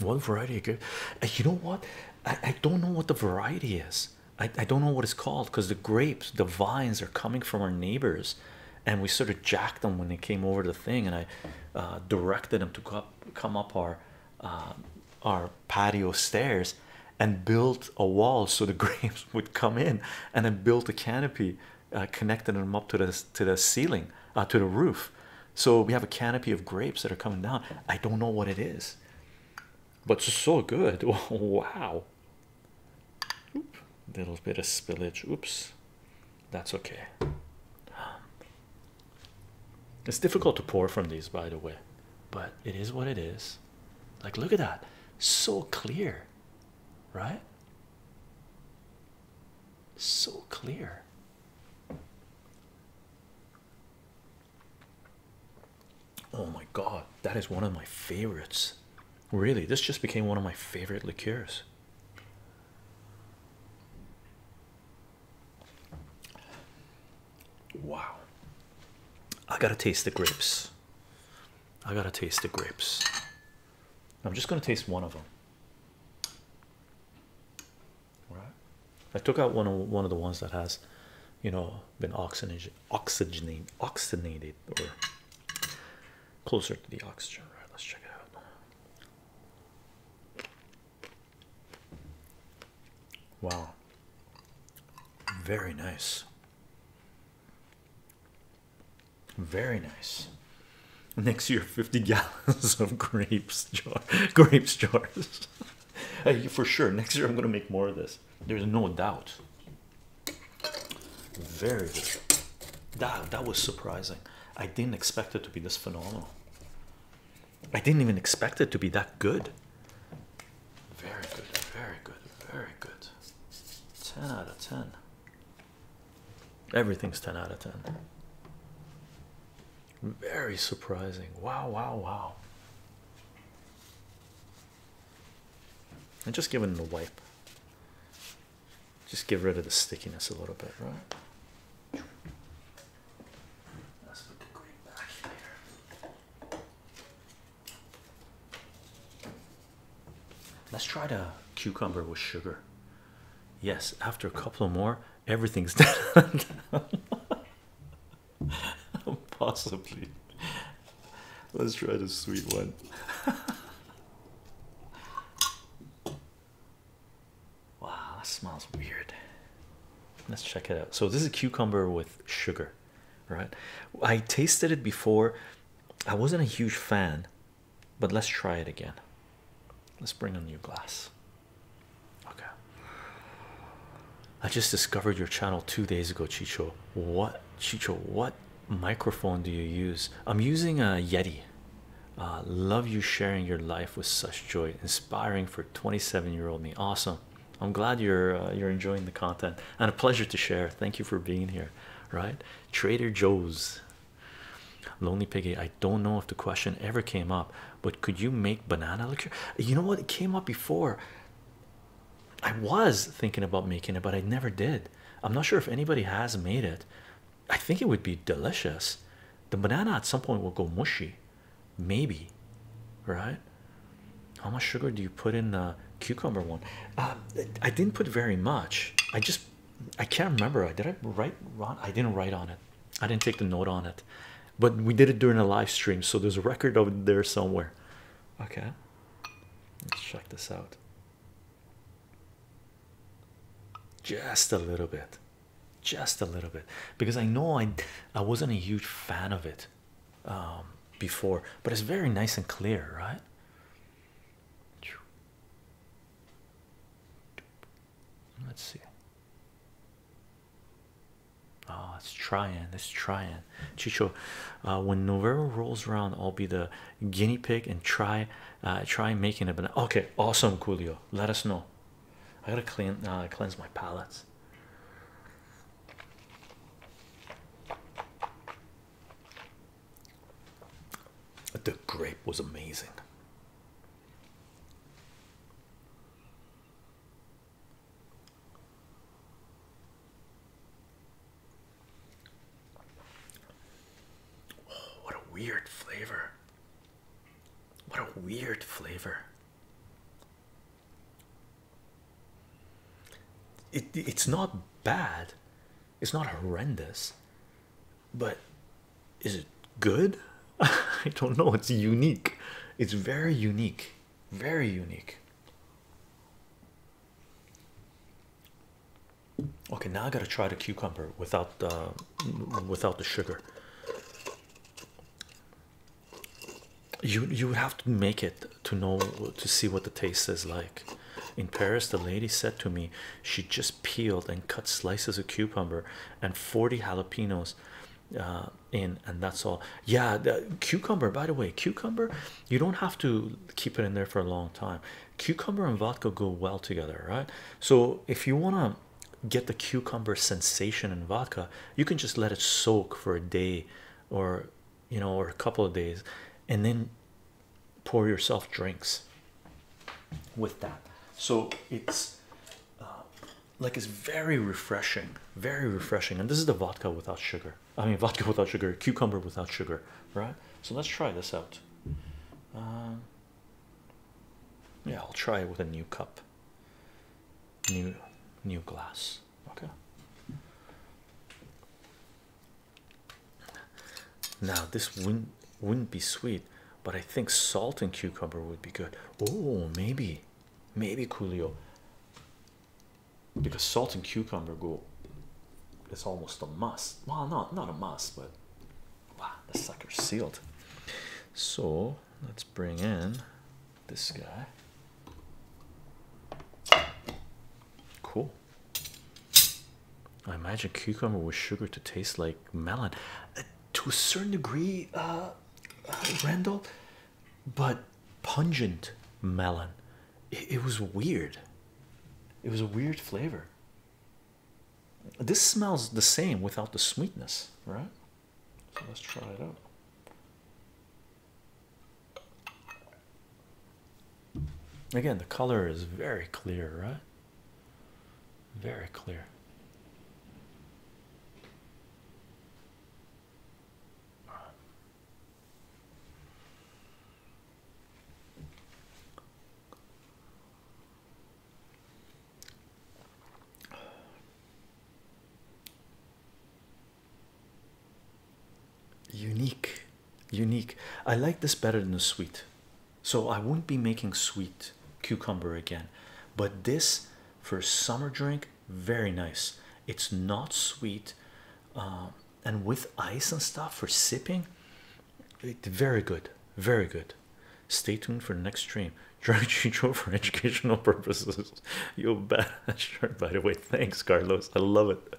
What variety? Uh, you know what? I, I don't know what the variety is. I, I don't know what it's called because the grapes, the vines are coming from our neighbors, and we sort of jacked them when they came over the thing, and I uh, directed them to come come up our uh, our patio stairs and built a wall so the grapes would come in, and then built a canopy, connecting them up to the to the ceiling, to the roof, so we have a canopy of grapes that are coming down. I don't know what it is, but it's so good. wow. Little bit of spillage. Oops. That's okay. It's difficult to pour from these, by the way, but it is what it is. Like, look at that. So clear, right? So clear. Oh my god, that is one of my favorites. Really, this just became one of my favorite liqueurs. Wow. I gotta taste the grapes. I gotta taste the grapes. I'm just gonna taste one of them right i took out one of one of the ones that has you know been oxygenated oxygenated oxygenated or closer to the oxygen right let's check it out Wow, very nice, very nice. Next year, 50 gallons of grapes jar grapes jars. for sure. Next year I'm gonna make more of this. There's no doubt. Very good. That that was surprising. I didn't expect it to be this phenomenal. I didn't even expect it to be that good. Very good, very good, very good. 10 out of 10. Everything's 10 out of 10. Very surprising. Wow, wow, wow. And just give it a wipe. Just get rid of the stickiness a little bit, right? Let's put the green back here. Let's try the cucumber with sugar. Yes, after a couple more, everything's done. Possibly. Let's try the sweet one. wow, that smells weird. Let's check it out. So this is cucumber with sugar, right? I tasted it before. I wasn't a huge fan, but let's try it again. Let's bring a new glass. Okay. I just discovered your channel two days ago, Chicho. What, Chicho? What microphone do you use? I'm using a Yeti. Uh, love you sharing your life with such joy, inspiring for 27-year-old me. Awesome. I'm glad you're uh, you're enjoying the content and a pleasure to share. Thank you for being here. Right, Trader Joe's. Lonely Piggy, I don't know if the question ever came up, but could you make banana liqueur? You know what? It came up before. I was thinking about making it, but I never did. I'm not sure if anybody has made it. I think it would be delicious. The banana at some point will go mushy, maybe, right? How much sugar do you put in the cucumber one? Um, I didn't put very much. I just I can't remember. did I write Ron? I didn't write on it. I didn't take the note on it, but we did it during a live stream, so there's a record of it there somewhere. Okay, let's check this out just a little bit, just a little bit, because I know I, I wasn't a huge fan of it um, before, but it's very nice and clear, right? Let's see. Oh, ah, let's try and let's try and Chicho. Uh, when November rolls around, I'll be the guinea pig and try, uh, try making it. banana. Okay, awesome, Julio. Let us know. I gotta clean, uh, cleanse my palates. The grape was amazing. Oh, what a weird flavor! What a weird flavor! It, it's not bad, it's not horrendous, but is it good? I don't know. It's unique. It's very unique. Very unique. Okay, now I gotta try the cucumber without the without the sugar. You you would have to make it to know to see what the taste is like. In Paris, the lady said to me, she just peeled and cut slices of cucumber and 40 jalapenos in uh, and that's all yeah cucumber by the way cucumber you don't have to keep it in there for a long time cucumber and vodka go well together right so if you want to get the cucumber sensation in vodka you can just let it soak for a day or you know or a couple of days and then pour yourself drinks with that so it's uh, like it's very refreshing very refreshing and this is the vodka without sugar i mean vodka without sugar cucumber without sugar right so let's try this out um, yeah i'll try it with a new cup new new glass okay now this wouldn't wouldn't be sweet but I think salt and cucumber would be good. Oh, maybe, maybe Coolio, because salt and cucumber go. It's almost a must. Well, not not a must, but wow, the sucker's sealed. So let's bring in this guy. Cool. I imagine cucumber with sugar to taste like melon. Uh, to a certain degree, uh, Randall, but pungent melon. It, was weird. It was a weird flavor. This smells the same without the sweetness, right? So let's try it out. Again, the color is very clear, right? Very clear. Unique, unique. I like this better than the sweet, so I wouldn't be making sweet cucumber again. But this for a summer drink very nice it's not sweet um, and with ice and stuff for sipping it, very good very good stay tuned for the next stream drink, control for educational purposes you'll bet sure by the way thanks carlos i love it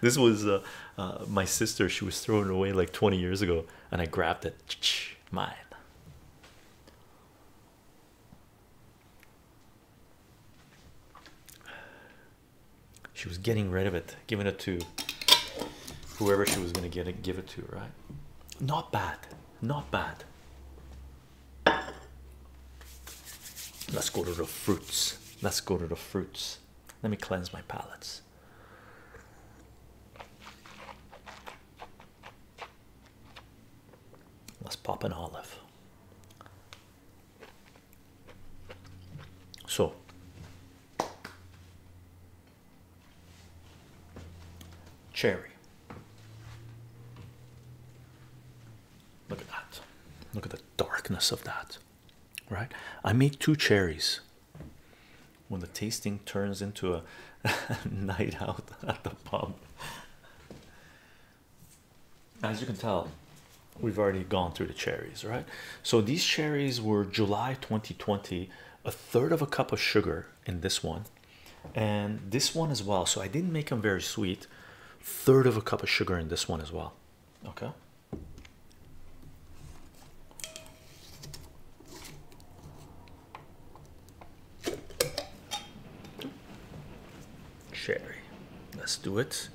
this was uh, uh, my sister she was throwing away like 20 years ago and i grabbed it My. She was getting rid of it, giving it to whoever she was going to get it, give it to, right? Not bad, not bad. Let's go to the fruits. Let's go to the fruits. Let me cleanse my palates. Let's pop an olive. So cherry. Look at that. Look at the darkness of that. Right? I made two cherries. When the tasting turns into a night out at the pub. As you can tell, we've already gone through the cherries, right? So these cherries were July 2020, a third of a cup of sugar in this one, and this one as well. So I didn't make them very sweet. Third of a cup of sugar in this one as well. Okay. Cherry, Let's do it.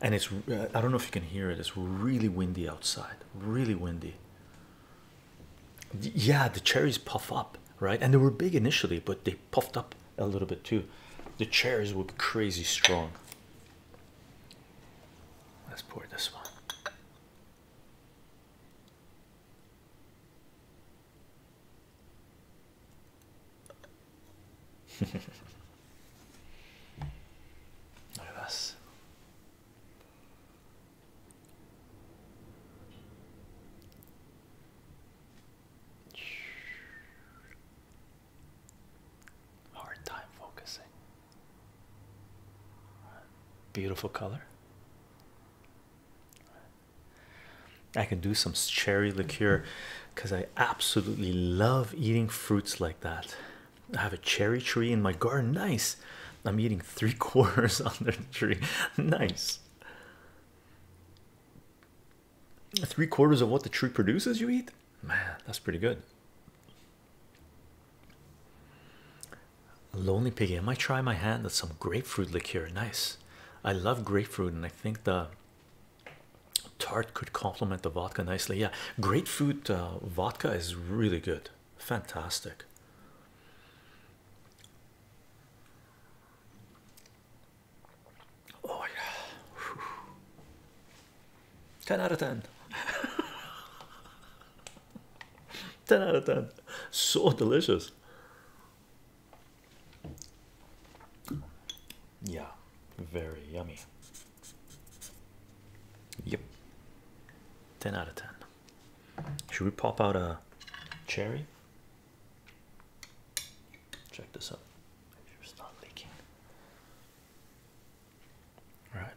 And it's, uh, I don't know if you can hear it, it's really windy outside. Really windy. Yeah, the cherries puff up, right? And they were big initially, but they puffed up a little bit too. The cherries were crazy strong. Let's pour this one. Look Hard time focusing. Beautiful color. I can do some cherry liqueur because I absolutely love eating fruits like that. I have a cherry tree in my garden. Nice. I'm eating three quarters under the tree. Nice. Three quarters of what the tree produces, you eat? Man, that's pretty good. Lonely Piggy. I might try my hand at some grapefruit liqueur. Nice. I love grapefruit, and I think the tart could complement the vodka nicely. Yeah, grapefruit uh, vodka is really good. Fantastic. Oh yeah. Ten out of ten. 10 out of 10 so delicious yeah, very yummy. Yep. 10 out of 10. Should we pop out a cherry? Check this out. Make sure not leaking. All right.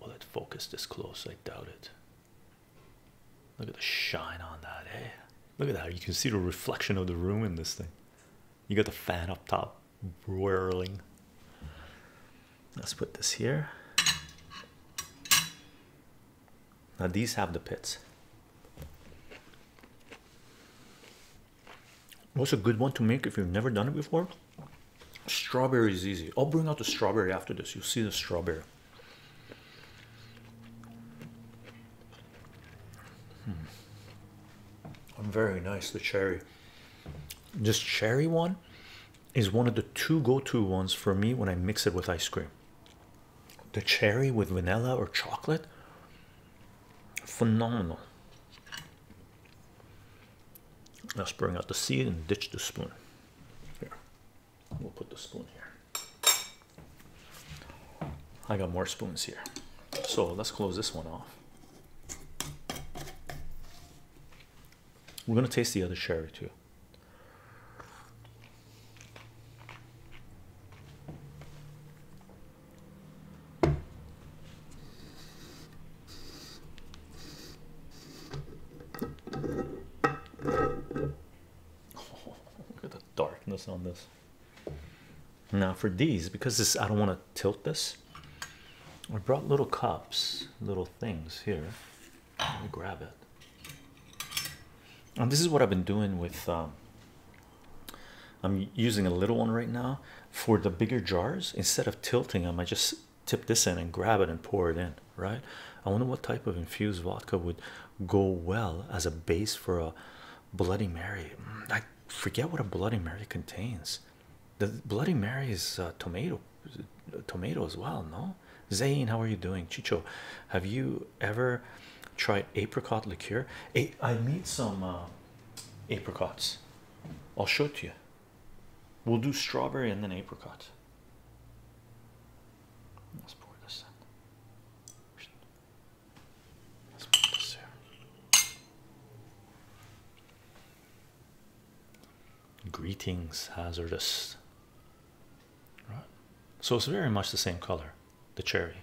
Will it focus this close? I doubt it. Look at the shine on that, eh? Look at that. You can see the reflection of the room in this thing. You got the fan up top whirling. Let's put this here. Now, these have the pits. What's a good one to make if you've never done it before? Strawberry is easy. I'll bring out the strawberry after this. You'll see the strawberry. Hmm. I'm Very nice, the cherry. This cherry one is one of the two go-to ones for me when I mix it with ice cream. The cherry with vanilla or chocolate, phenomenal. Let's bring out the seed and ditch the spoon. Here. We'll put the spoon here. I got more spoons here. So let's close this one off. We're going to taste the other sherry too look at the darkness on this. Now for these, because I don't want to tilt this. I brought little cups, little things here. Let me grab it. And this is what I've been doing with. Um, I'm using a little one right now for the bigger jars. Instead of tilting them, I just tip this in and grab it and pour it in right? I wonder what type of infused vodka would go well as a base for a Bloody Mary. Mm, I forget what a Bloody Mary contains. The Bloody Mary is uh, tomato, uh, tomato as well. No, Zain, how are you doing? Chicho, have you ever tried apricot liqueur? I made some uh, apricots. I'll show it you. We'll do strawberry and then apricot. Let's pour this in. Let's put this here. Greetings, hazardous. Right. So it's very much the same color, the cherry.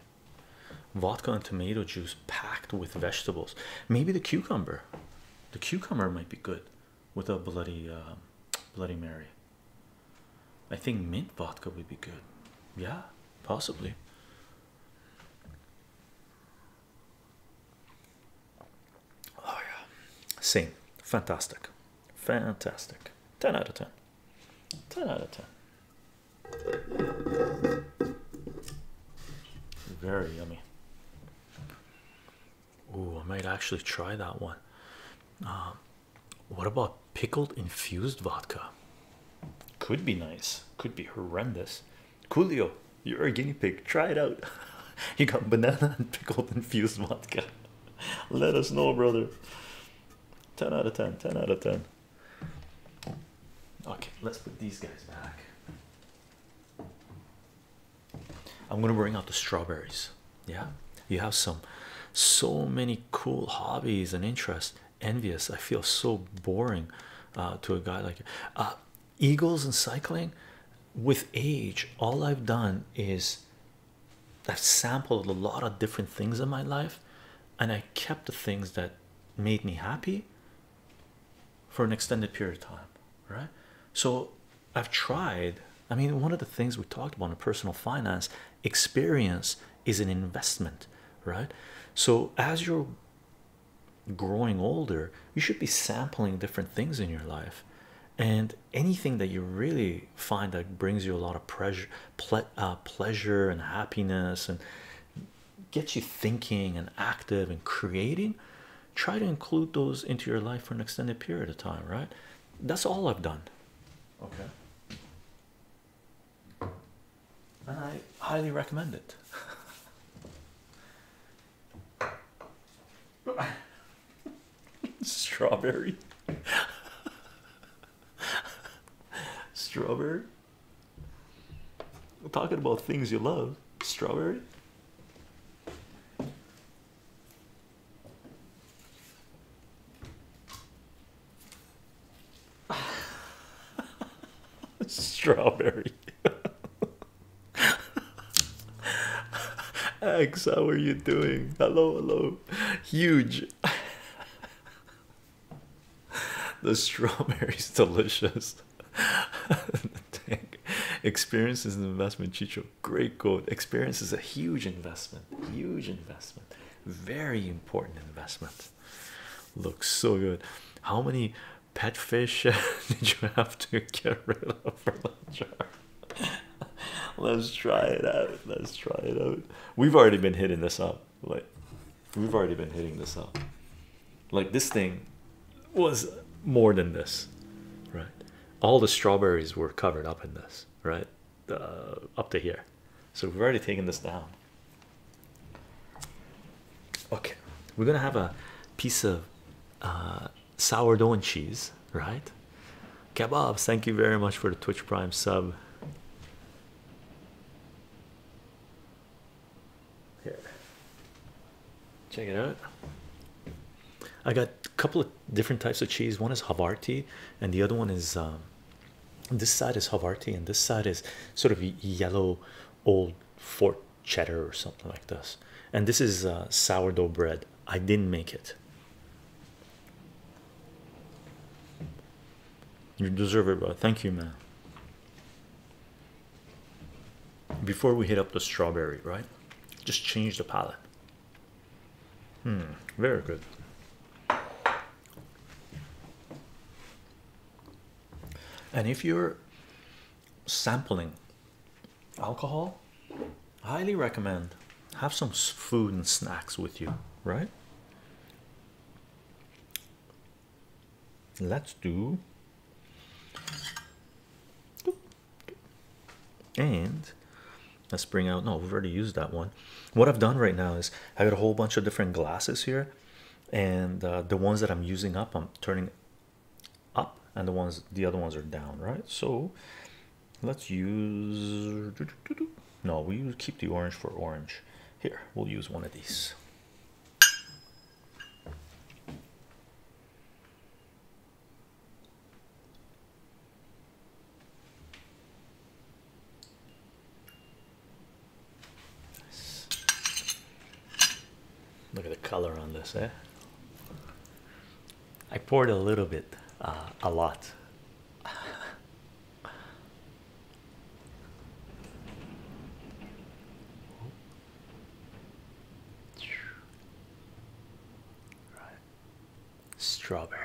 Vodka and tomato juice packed with vegetables. Maybe the cucumber. The cucumber might be good with a bloody uh, bloody Mary. I think mint vodka would be good. Yeah, possibly. Oh, yeah. Same. Fantastic. Fantastic. 10 out of 10. 10 out of 10. Very yummy. Ooh, I might actually try that one. Um, what about pickled infused vodka? Could be nice, could be horrendous. Julio, you're a guinea pig. Try it out. you got banana and pickled infused vodka. Let us know, brother. 10 out of 10, 10 out of 10. Okay, let's put these guys back. I'm gonna bring out the strawberries yeah you have some so many cool hobbies and interests envious i feel so boring uh, to a guy like uh, eagles and cycling with age all i've done is i've sampled a lot of different things in my life and i kept the things that made me happy for an extended period of time right so I've tried. I mean, one of the things we talked about in personal finance experience is an investment, right? So, as you're growing older, you should be sampling different things in your life, and anything that you really find that brings you a lot of pleasure, uh, pleasure, and happiness, and gets you thinking and active and creating. Try to include those into your life for an extended period of time, right? That's all I've done. Okay. And I highly recommend it. Strawberry. Strawberry. talking about things you love. Strawberry. Strawberry. X, how are you doing? Hello, hello. Huge. the strawberry's delicious. Experience is an investment, Chicho great quote. Experience is a huge investment, huge investment, very important investment. Looks so good. How many pet fish did you have to get rid of for lunch? Let's try it out. Let's try it out. We've already been hitting this up. Like we've already been hitting this up. Like this thing was more than this, right? All the strawberries were covered up in this, right? Uh, up to here. So we've already taken this down. Okay, we're gonna have a piece of uh, sourdough and cheese, right? Kebabs, thank you very much for the Twitch Prime sub. Here, check it out. I got a couple of different types of cheese. One is Havarti, and the other one is um, this side is Havarti, and this side is sort of yellow old fort cheddar or something like this. And this is uh, sourdough bread. I didn't make it. You deserve it, bro. Thank you, man. Before we hit up the strawberry, right? Just change the palette. Hmm, very good. And if you're sampling alcohol, highly recommend have some food and snacks with you, right? Let's do and Let's bring out no, we've already used that one. What I've done right now is I got a whole bunch of different glasses here, and uh, the ones that I'm using up, I'm turning up, and the ones the other ones are down, right? So let's use no, we keep the orange for orange. Here, we'll use one of these. Look at the color on this, eh? I poured a little bit, uh, a lot. Right strawberry.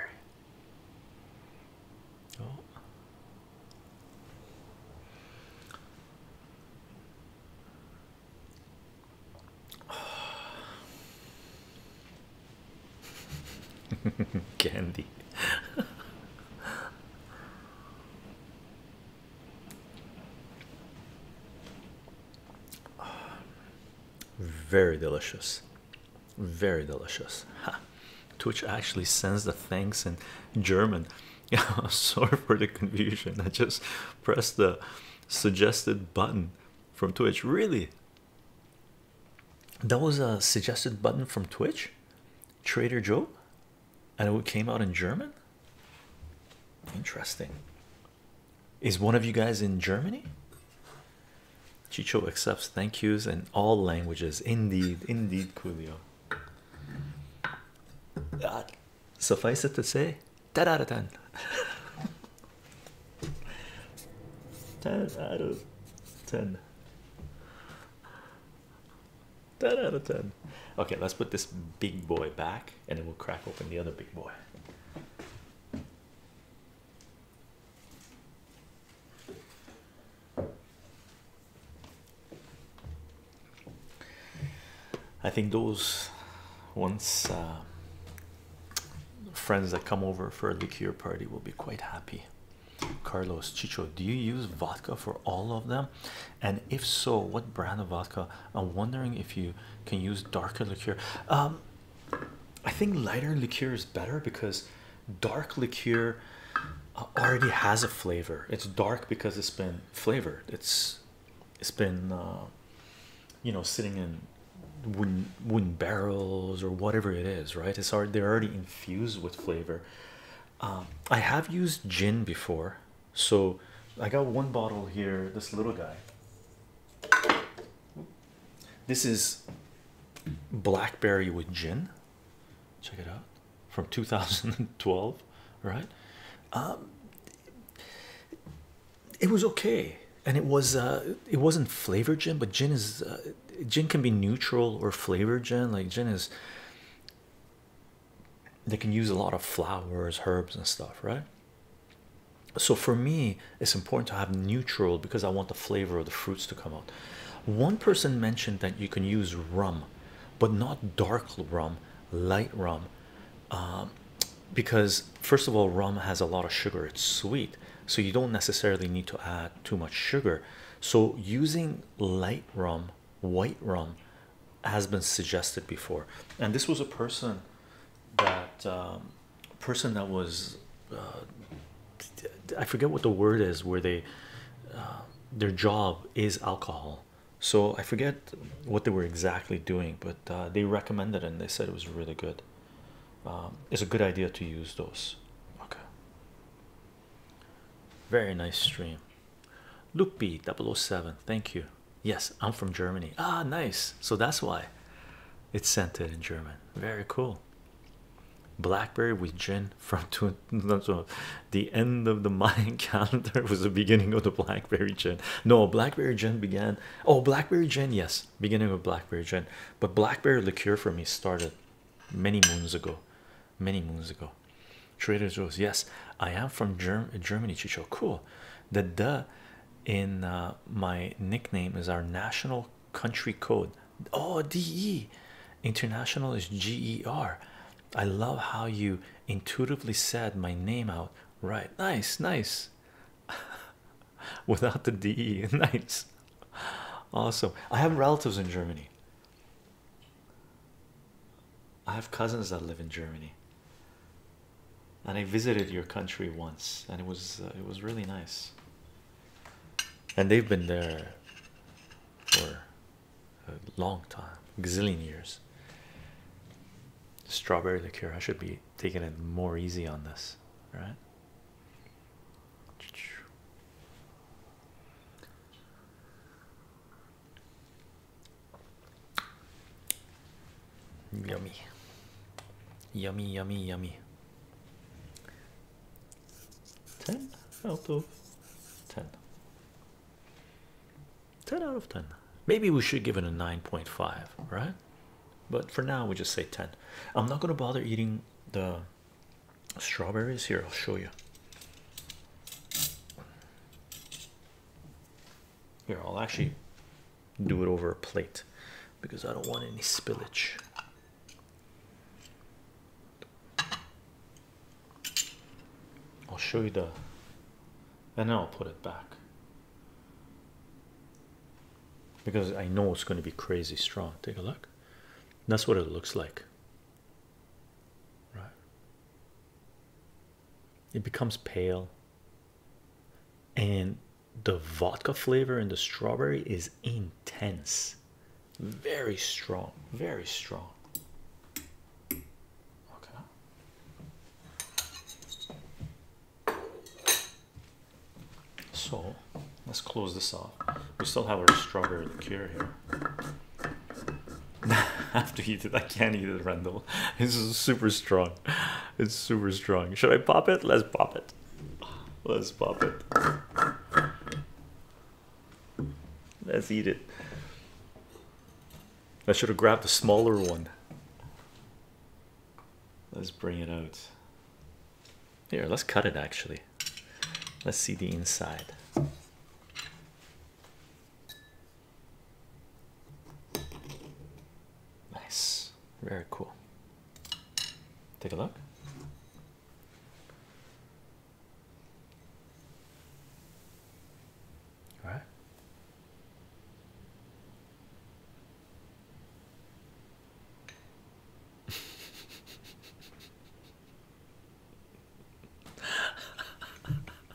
Oh. Candy. Very delicious. Very delicious. Ha. Twitch actually sends the thanks in German. sorry for the confusion. I just pressed the suggested button from Twitch. Really? That was a suggested button from Twitch? Trader Joe? And it came out in German? Interesting. Is one of you guys in Germany? Chicho accepts thank yous in all languages. Indeed, indeed, Coolio. suffice it to say, 10 out of 10. 10 out of 10. 10 out of 10. Okay, let's put this big boy back and then we'll crack open the other big boy. I think those once uh, friends that come over for a liqueur party will be quite happy. Carlos Chicho, do you use vodka for all of them? And if so, what brand of vodka? I'm wondering if you can use darker liqueur. Um, I think lighter liqueur is better because dark liqueur uh, already has a flavor. It's dark because it's been flavored. It's it's been uh, you know sitting in wooden wooden barrels or whatever it is, right? It's already they're already infused with flavor. Um, I have used gin before, so I got one bottle here. This little guy. This is blackberry with gin. Check it out from 2012, right? Um, it was okay, and it was uh, it wasn't flavored gin, but gin is uh, gin can be neutral or flavored gin. Like gin is, they can use a lot of flowers, herbs, and stuff, right? So for me, it's important to have neutral because I want the flavor of the fruits to come out. One person mentioned that you can use rum, but not dark rum, light rum, um, because first of all, rum has a lot of sugar. It's sweet, so you don't necessarily need to add too much sugar. So using light rum, white rum, has been suggested before, and this was a person that um, person that was uh, I forget what the word is where they uh, their job is alcohol. So I forget what they were exactly doing, but uh, they recommended and they said it was really good. Um, it's a good idea to use those. Okay. Very nice stream. Luke B 007, thank you. Yes, I'm from Germany. Ah, nice. So that's why it's scented in German. Very cool. Blackberry with Jen from two, the end of the Mayan calendar was the beginning of the Blackberry Jen. No, Blackberry Jen began. Oh, Blackberry Jen, yes, beginning of Blackberry Jen. But Blackberry liqueur for me started many moons ago. Many moons ago. Trader Joe's, yes, I am from Germ Germany. Chicho, cool. The D in uh, my nickname is our national country code Oh, DE international is G E R. I love how you intuitively said my name out right. Nice, nice. Without the DE, nice. Awesome. I have relatives in Germany. I have cousins that live in Germany. And I visited your country once and it was uh, it was really nice and they've been there for a long time, gazillion years. Strawberry liqueur. I should be taking it more easy on this, right? Yummy, yummy, yummy, yummy. 10 out of 10 10 out of 10 maybe we should give it a 9.5 right but for now we just say 10 i'm not going to bother eating the strawberries here i'll show you here i'll actually do it over a plate because i don't want any spillage I'll show you the and then I'll put it back because I know it's going to be crazy strong. Take a look, that's what it looks like, right? It becomes pale, and the vodka flavor in the strawberry is intense. Very strong, very strong. Okay. So let's close this off. We still have our strawberry liqueur here. After eat it, I can't eat it, Rendel. This is super strong. It's super strong. Should I pop it? Let's pop it. Let's pop it. Let's eat it. I should have grabbed the smaller one. Let's bring it out. Here, let's cut it actually. Let's see the inside. Nice, very cool. Take a look. Right?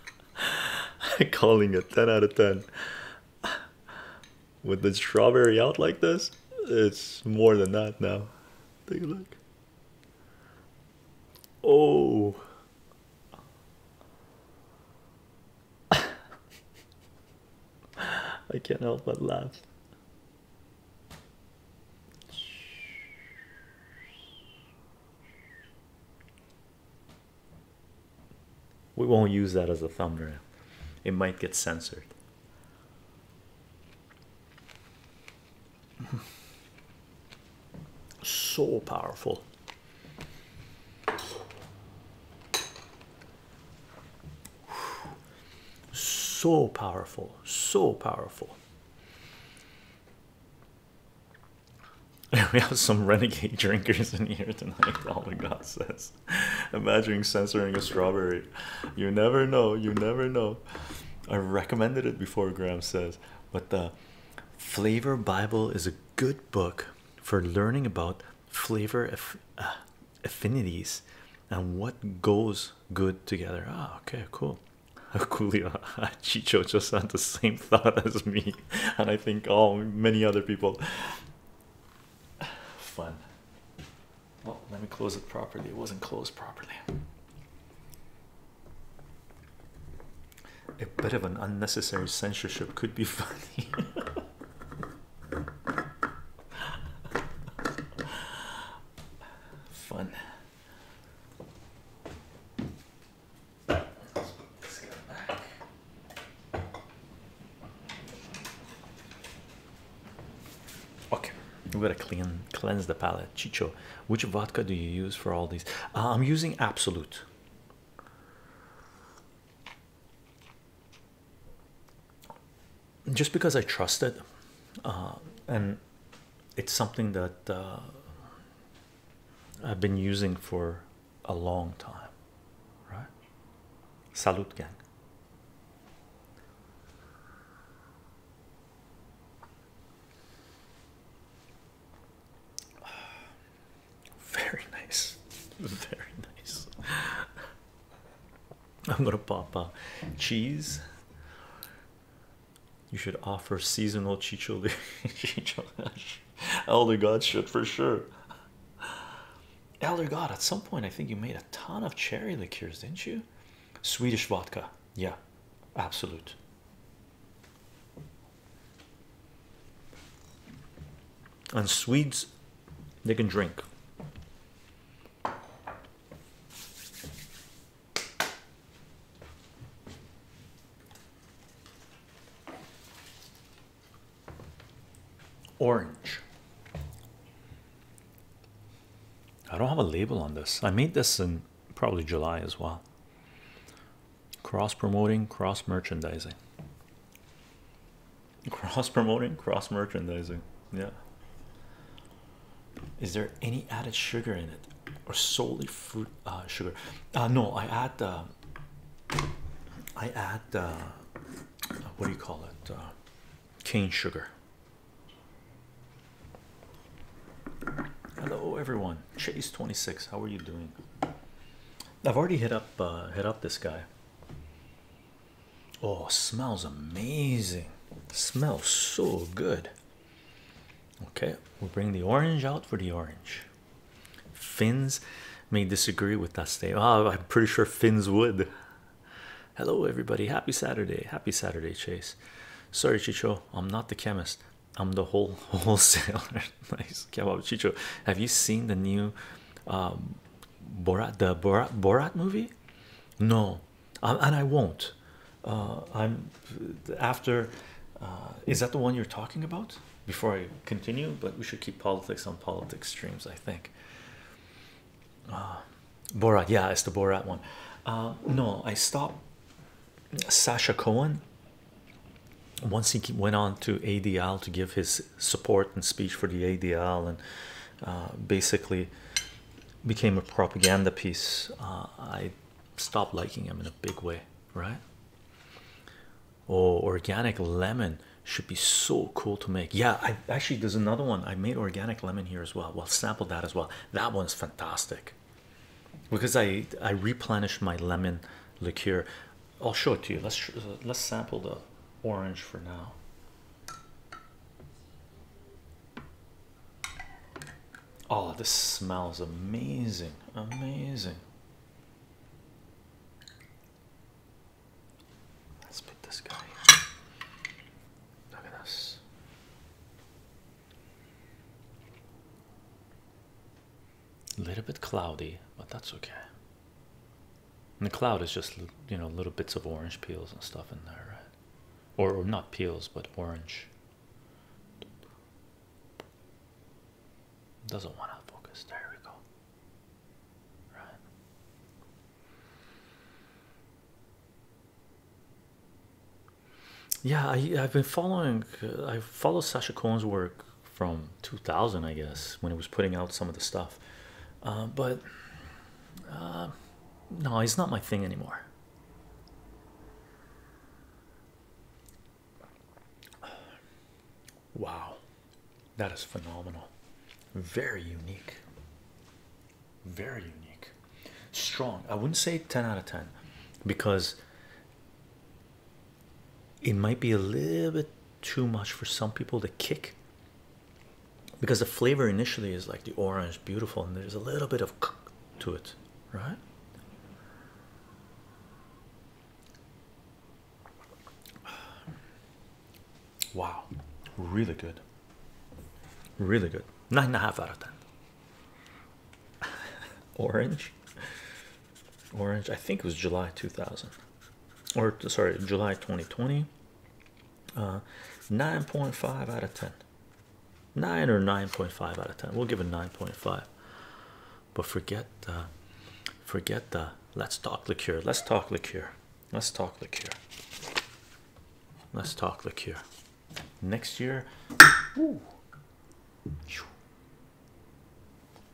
Calling it 10 out of 10 with the strawberry out like this, it's more than that now. Take a look. Oh. I can't help but laugh. We won't use that as a thumbnail. It might get censored so powerful. So powerful, so powerful. We have some renegade drinkers in here tonight. All the gods says, imagining censoring a strawberry. You never know, you never know. I recommended it before, Graham says, but the Flavor Bible is a good book for learning about flavor uh, affinities and what goes good together. Ah, okay, cool. Coolio Chicho just had the same thought as me, and I think all many other people. Fun. Well, let me close it properly. It wasn't closed properly. A bit of an unnecessary censorship could be funny. Fun. Okay, we am gonna clean cleanse the palate. Chicho, which vodka do you use for all these? Uh, I'm using Absolute. Just because I trust it, uh, and it's something that uh, I've been using for a long time, right? Salute, gang. Very nice, very nice. I'm gonna pop out cheese. You should offer seasonal chicholi. Elder God shit for sure. Elder God, at some point, I think you made a ton of cherry liqueurs, didn't you? Swedish vodka yeah absolute and Swedes they can drink orange I don't have a label on this. I made this in probably July as well. Cross promoting, cross merchandising. Cross promoting, cross merchandising. Yeah. Is there any added sugar in it or solely fruit uh, sugar? Uh, no, I add, uh, I add, what do you call it? cane sugar. Hello everyone. Chase 26. How are you doing? I've already hit up uh, hit up this guy. Oh, smells amazing. Smells so good. Okay, we bring the orange out for the orange. Finns may disagree with that statement. Ah, I'm pretty sure Finns would. Hello everybody. Happy Saturday. Happy Saturday, Chase. Sorry, Chicho, I'm not the chemist. I'm the whole wholesaler. nice kebab, Chicho. Have you seen the new um, Borat the Borat movie? No, um, and I won't. Uh, I'm after. Uh, is that the one you're talking about? Before I continue, but we should keep politics on politics streams. I think. Uh, Borat, yeah, it's the Borat one. no, I stop. Sasha Cohen, once he went on to ADL to give his support and speech for the ADL, and uh, basically became a propaganda piece, uh, I stopped liking him in a big way, right? Oh, organic lemon should be so cool to make. Yeah, actually there's another one. I made organic lemon here as well. Well, sample that as well. That one's fantastic because I I replenished my lemon liqueur. I'll show it to you. Let's let's sample the orange for now. Oh, this smells amazing, amazing. Let's put this guy. Look at this. A little bit cloudy, but that's okay. the cloud is just you know little bits of orange peels and stuff in there, Or, or not peels, but orange. Doesn't want to focus. There we go. Right yeah I, i've been following uh, i followed sasha cohen's work from 2000 i guess when he was putting out some of the stuff uh, but uh, no he's not my thing anymore wow that is phenomenal very unique very unique strong i wouldn't say 10 out of 10 because it might be a little bit too much for some people to kick because the flavor initially is like the orange beautiful and there's a little bit of to it right wow really good really good nine and a half out of ten Orange. Orange, I think it was July 2000 or sorry, July 2020. Uh, 9.5 out of 10. 9 or 9.5 out of 10. We'll give it 9.5. But forget uh, forget the let's talk liqueur. Let's talk liqueur. Let's talk liqueur. Let's talk liqueur next year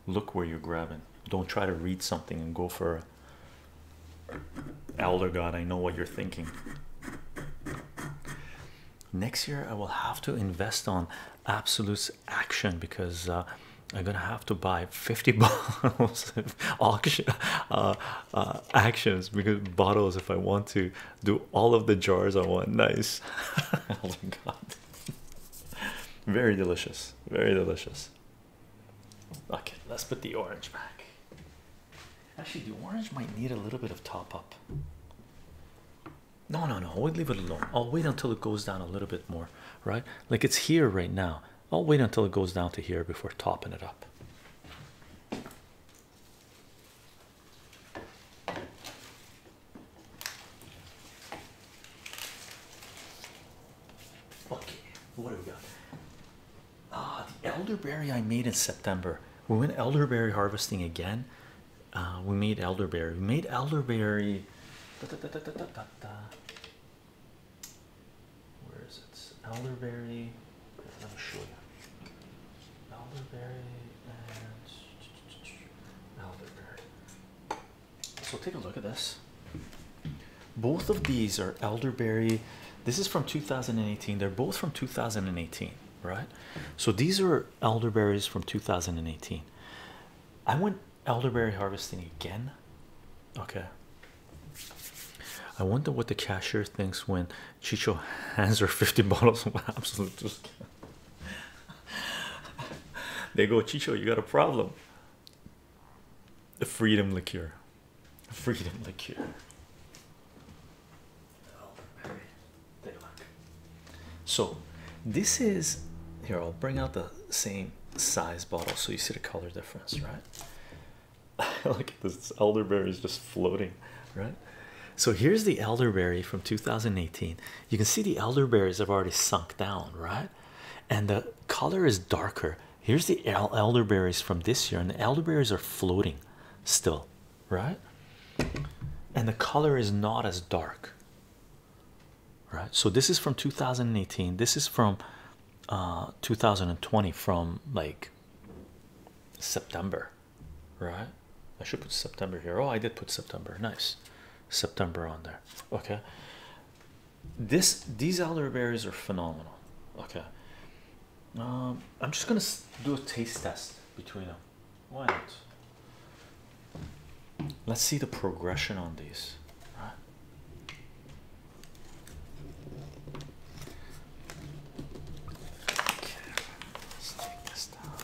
look where you're grabbing don't try to read something and go for a, elder god i know what you're thinking next year i will have to invest on absolute action because uh, i'm gonna have to buy 50 bottles of uh, uh, actions because bottles if i want to do all of the jars on one. Nice. oh god. Very delicious. Very delicious. Okay, let's put the orange back. Actually, the orange might need a little bit of top up. No, no, no. We'll leave it alone. I'll wait until it goes down a little bit more, right? Like it's here right now. I'll wait until it goes down to here before topping it up. Okay, what do we got? Ah, the elderberry I made in September. We went elderberry harvesting again. Ah, we made elderberry. We made elderberry. Where is it? Elderberry. Let me show you. Elderberry and elderberry. So take a look at this. Both of these are elderberry. This is from 2018. They're both from 2018, right? So these are elderberries from 2018. I went elderberry harvesting again. Okay. I wonder what the cashier thinks when Chicho hands her 50 bottles of absolute they go, Chicho, you got a problem. The freedom liqueur. Freedom liqueur. So this is here, I'll bring out the same size bottle so you see the color difference, right? Look at this elderberry is just floating right? So here's the elderberry from 2018. You can see the elderberries have already sunk down, right? And the color is darker. Here's the elderberries from this year, and the elderberries are floating still, right? And the color is not as dark, right? So this is from 2018. This is from uh, 2020, from like September, right? I should put September here. Oh, I did put September. Nice, September on there. Okay. This these elderberries are phenomenal. Okay. Um, I'm just gonna do a taste test between them. Why not? Let's see the progression on these. Right. Okay, let's take this down.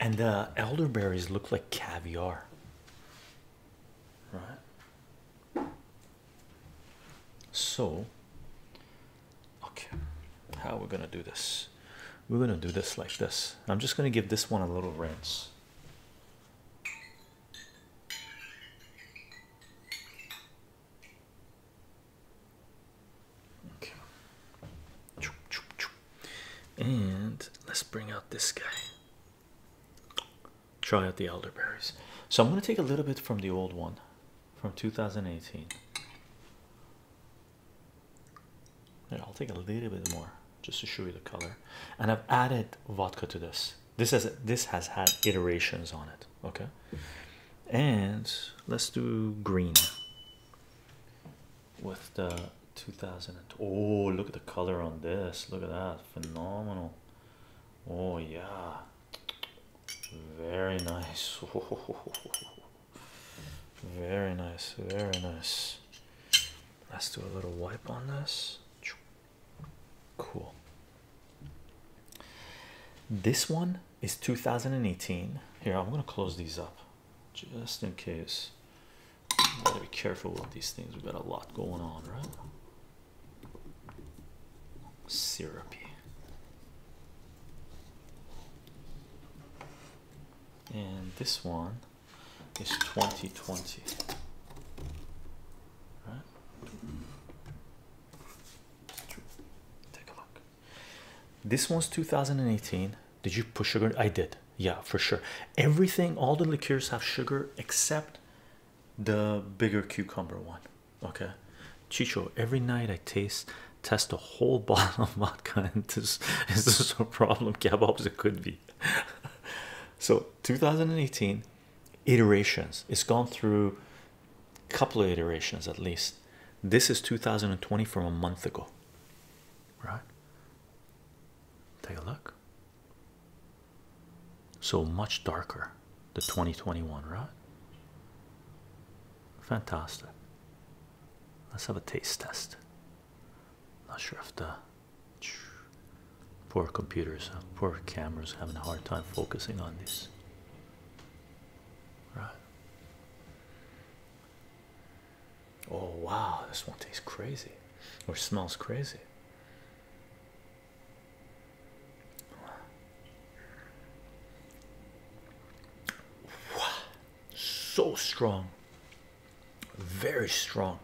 and the elderberries look like caviar right so okay how are we gonna do this we're gonna do this like this i'm just gonna give this one a little rinse okay and let's bring out this guy Try out the elderberries. So I'm going to take a little bit from the old one from 2018. And I'll take a little bit more just to show you the color. And I've added vodka to this. This has this has had iterations on it. Okay. And let's do green with the 2000 oh look at the color on this look at that phenomenal oh yeah very nice very nice very nice let's do a little wipe on this cool this one is 2018 here i'm going to close these up just in case Gotta be careful with these things. We've got a lot going on, right? Syrupy. And this one is 2020. Right? Take a look. This one's 2018. Did you push sugar? I did yeah for sure everything all the liqueurs have sugar except the bigger cucumber one okay chicho every night i taste test a whole bottle of vodka and this is this a problem kebabs it could be so 2018 iterations it's gone through a couple of iterations at least this is 2020 from a month ago right take a look so much darker, the 2021, right? Fantastic. Let's have a taste test. Not sure if the poor computers, uh, poor cameras having a hard time focusing on this. Right. Oh wow, this one tastes crazy or smells crazy. Wow, so strong, very strong,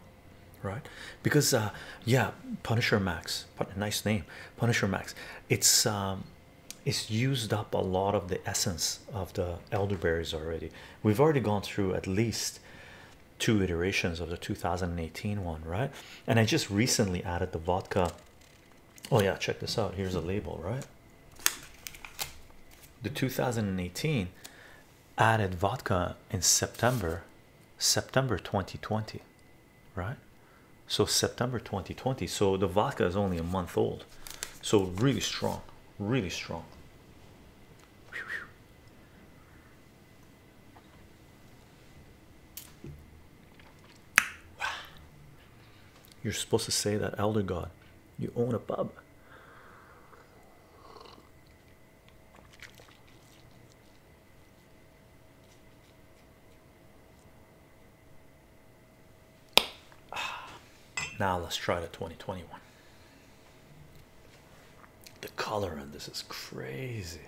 right? Because, uh, yeah, Punisher Max, nice name, Punisher Max. It's um, it's used up a lot of the essence of the elderberries already. We've already gone through at least two iterations of the 2018 one, right? And I just recently added the vodka. Oh, yeah, check this out. Here's a label, right? The 2018 added vodka in September, September 2020, right? So, September 2020. So, the vodka is only a month old. So, really strong, really strong. You're supposed to say that elder god, you own a pub. Ah. Now let's try the 2021. The color on this is crazy.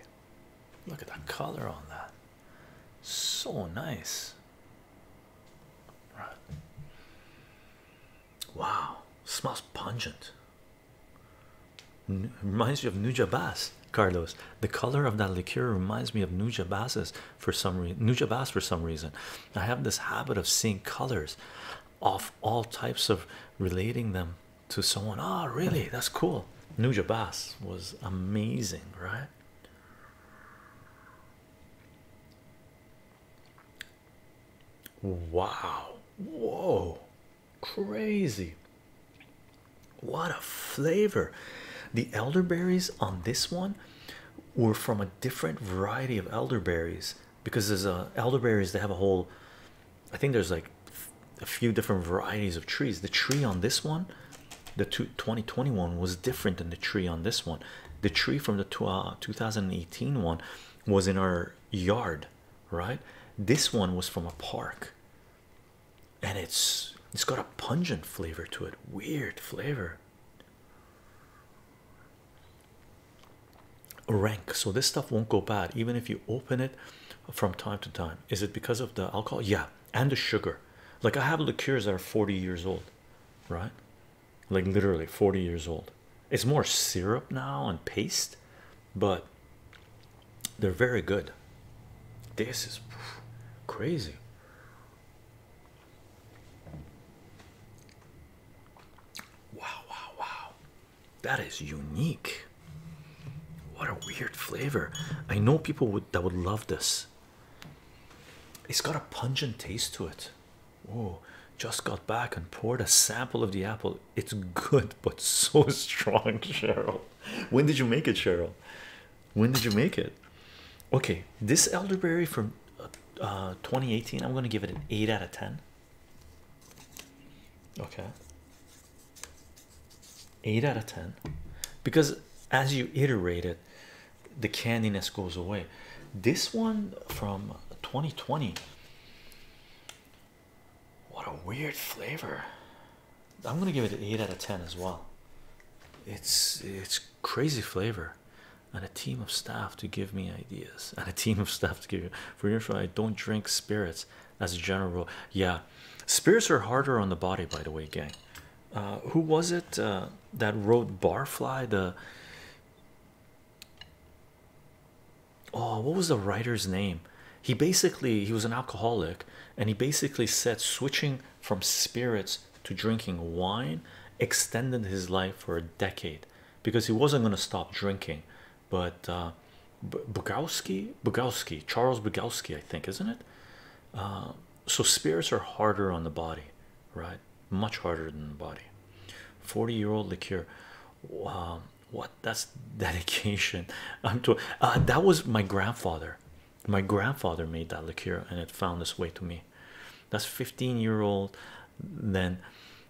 Look at that color on that. So nice. Right. Wow, smells pungent. reminds you of Nujabas, Carlos. The color of that liqueur reminds me of Nujabas's for some reason. Nujabas for some reason. I have this habit of seeing colors, of all types of relating them to someone oh really that's cool Nuja Bass was amazing right wow whoa crazy what a flavor the elderberries on this one were from a different variety of elderberries because there's a elderberries they have a whole I think there's like a few different varieties of trees. The tree on this one, the two, 2021 was different than the tree on this one. The tree from the two, uh, 2018 one was in our yard, right? This one was from a park, and it's it's got a pungent flavor to it, weird flavor rank so this stuff won't go bad even if you open it from time to time is it because of the alcohol yeah and the sugar like i have liqueurs that are 40 years old right like literally 40 years old it's more syrup now and paste but they're very good this is crazy wow wow wow that is unique. What a weird flavor. I know people would that would love this. It's got a pungent taste to it. Oh, just got back and poured a sample of the apple. It's good, but so strong, Cheryl. When did you make it, Cheryl? When did you make it? Okay, this elderberry from uh, uh, 2018, I'm going to give it an 8 out of 10. Okay, 8 out of 10 because as you iterate it the candiness goes away this one from 2020 what a weird flavor i'm gonna give it 8 out of 10 as well it's it's crazy flavor and a team of staff to give me ideas and a team of staff to give you for your i don't drink spirits as a general rule. Yeah, spirits are harder on the body, by the way, gang. Uh, who was it uh, that wrote Barfly? The oh, what was the writer's name? He basically he was an alcoholic, and he basically said switching from spirits to drinking wine extended his life for a decade because he wasn't going to stop drinking but uh, Bugowski, Bogowski, Charles Bugowski, I think, isn't it? Uh, so spirits are harder on the body, right? Much harder than the body. 40 year old liqueur. Wow, what that's dedication. I'm to uh, that was my grandfather. My grandfather made that liqueur and it found its way to me. That's 15 year old, then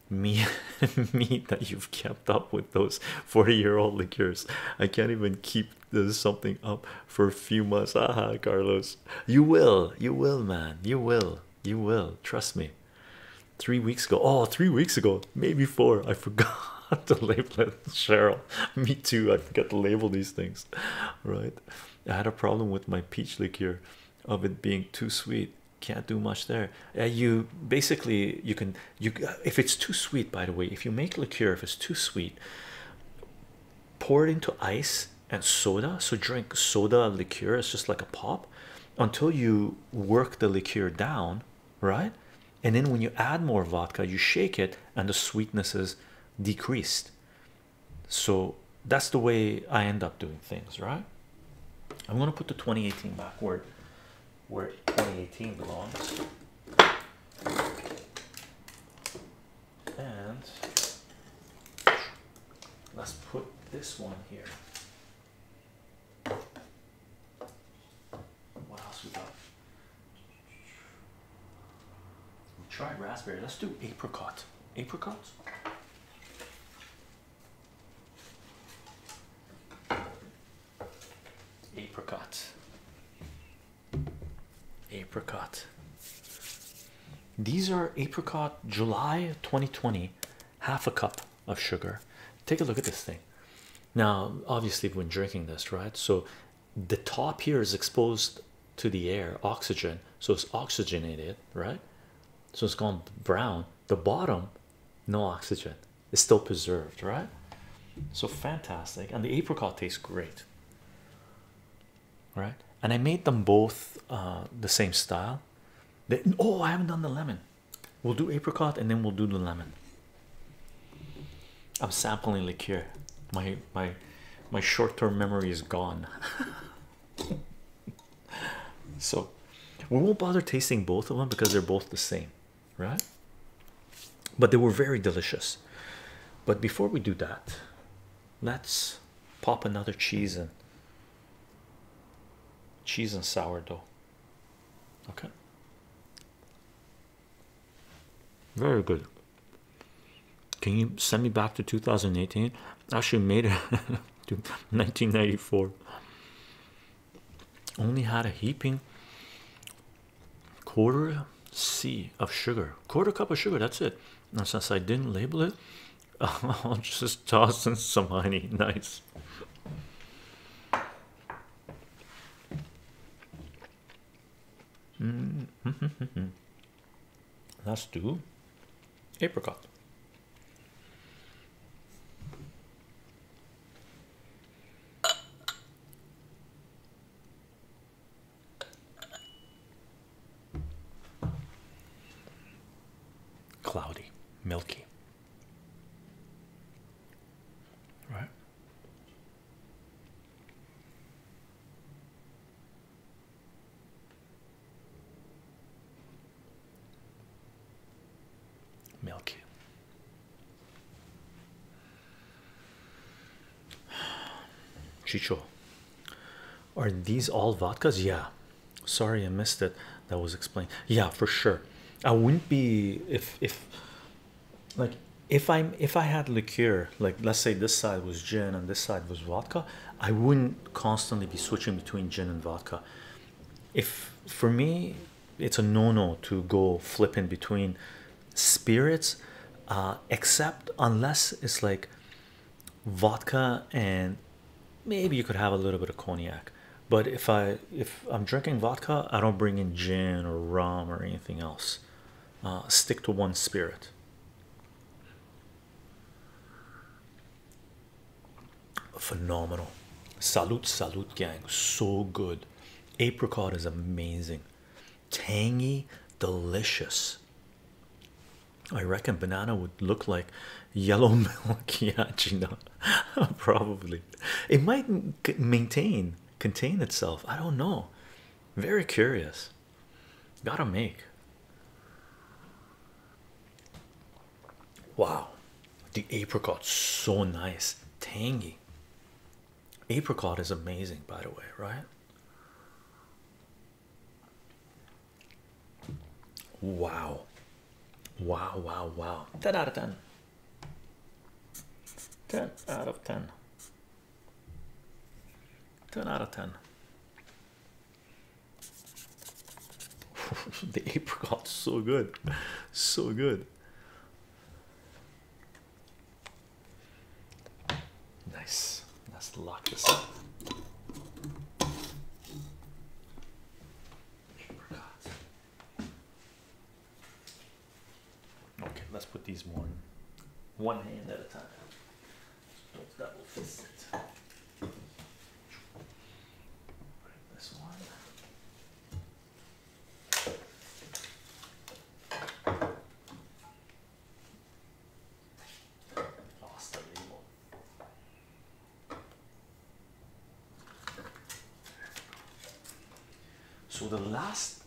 me, me that you've kept up with those 40 year old liqueurs. I can't even keep this something up for a few months. Aha, Carlos, you will, you will, man, you will, you will, trust me. Three weeks ago, oh, three weeks ago, maybe four. I forgot to label it, Cheryl. Me too, I forgot to label these things, right? I had a problem with my peach liqueur of it being too sweet. Can't do much there. Uh, you basically you can you uh, if it's too sweet by the way if you make liqueur if it's too sweet pour it into ice and soda so drink soda liqueur it's just like a pop until you work the liqueur down right and then when you add more vodka you shake it and the sweetness is decreased so that's the way i end up doing things right i'm going to put the 2018 backward where 2018 belongs. And let's put this one here. What else we got? try raspberry. Let's do apricot. Apricot? Apricot. Apricot. These are apricot July 2020, half a cup of sugar. Take a look at this thing. Now, obviously, we're drinking this, right? So the top here is exposed to the air, oxygen, so it's oxygenated, right? So it's gone brown. The bottom, no oxygen is still preserved, right? So fantastic, and the apricot tastes great, right? And I made them both uh, the same style. oh, I haven't done the lemon. We'll do apricot and then we'll do the lemon. I'm sampling liqueur. My my my short-term memory is gone. so we won't bother tasting both of them because they're both the same right? But they were very delicious. But before we do that, let's pop another cheese and cheese and sourdough. Okay, very good. Can you send me back to 2018? Actually, made it to 1994. Only had a heaping quarter C of sugar, quarter cup of sugar. That's it. And since I didn't label it, I'll just toss in some honey. Nice. Mm-hmm. Last two, apricot. Cloudy, milky. Right? Milky. Chicho, are these all vodkas? Yeah, sorry I missed it. That was explained. Yeah, for sure. I wouldn't be if if like if I'm if I had liqueur, like let's say this side was gin and this side was vodka, I wouldn't constantly be switching between gin and vodka. If for me, it's a no-no to go flipping between spirits uh, except unless it's like vodka and maybe you could have a little bit of cognac but if i if i'm drinking vodka i don't bring in gin or rum or anything else uh, stick to one spirit phenomenal salute salute gang so good Apricot is amazing, tangy, delicious. I reckon banana would look like yellow milk, Probably it might maintain, contain itself. I don't know. Very curious. Gotta make. Wow, the apricot so nice, tangy. Apricot is amazing, by the way, right? Wow, wow, wow, wow. 10 out of 10. 10 out of 10. 10 out of 10. the apricot's so good, so good. Nice. Let's lock this up. Okay, let's put these one one hand at a time. Don't double fist it. This one. So the last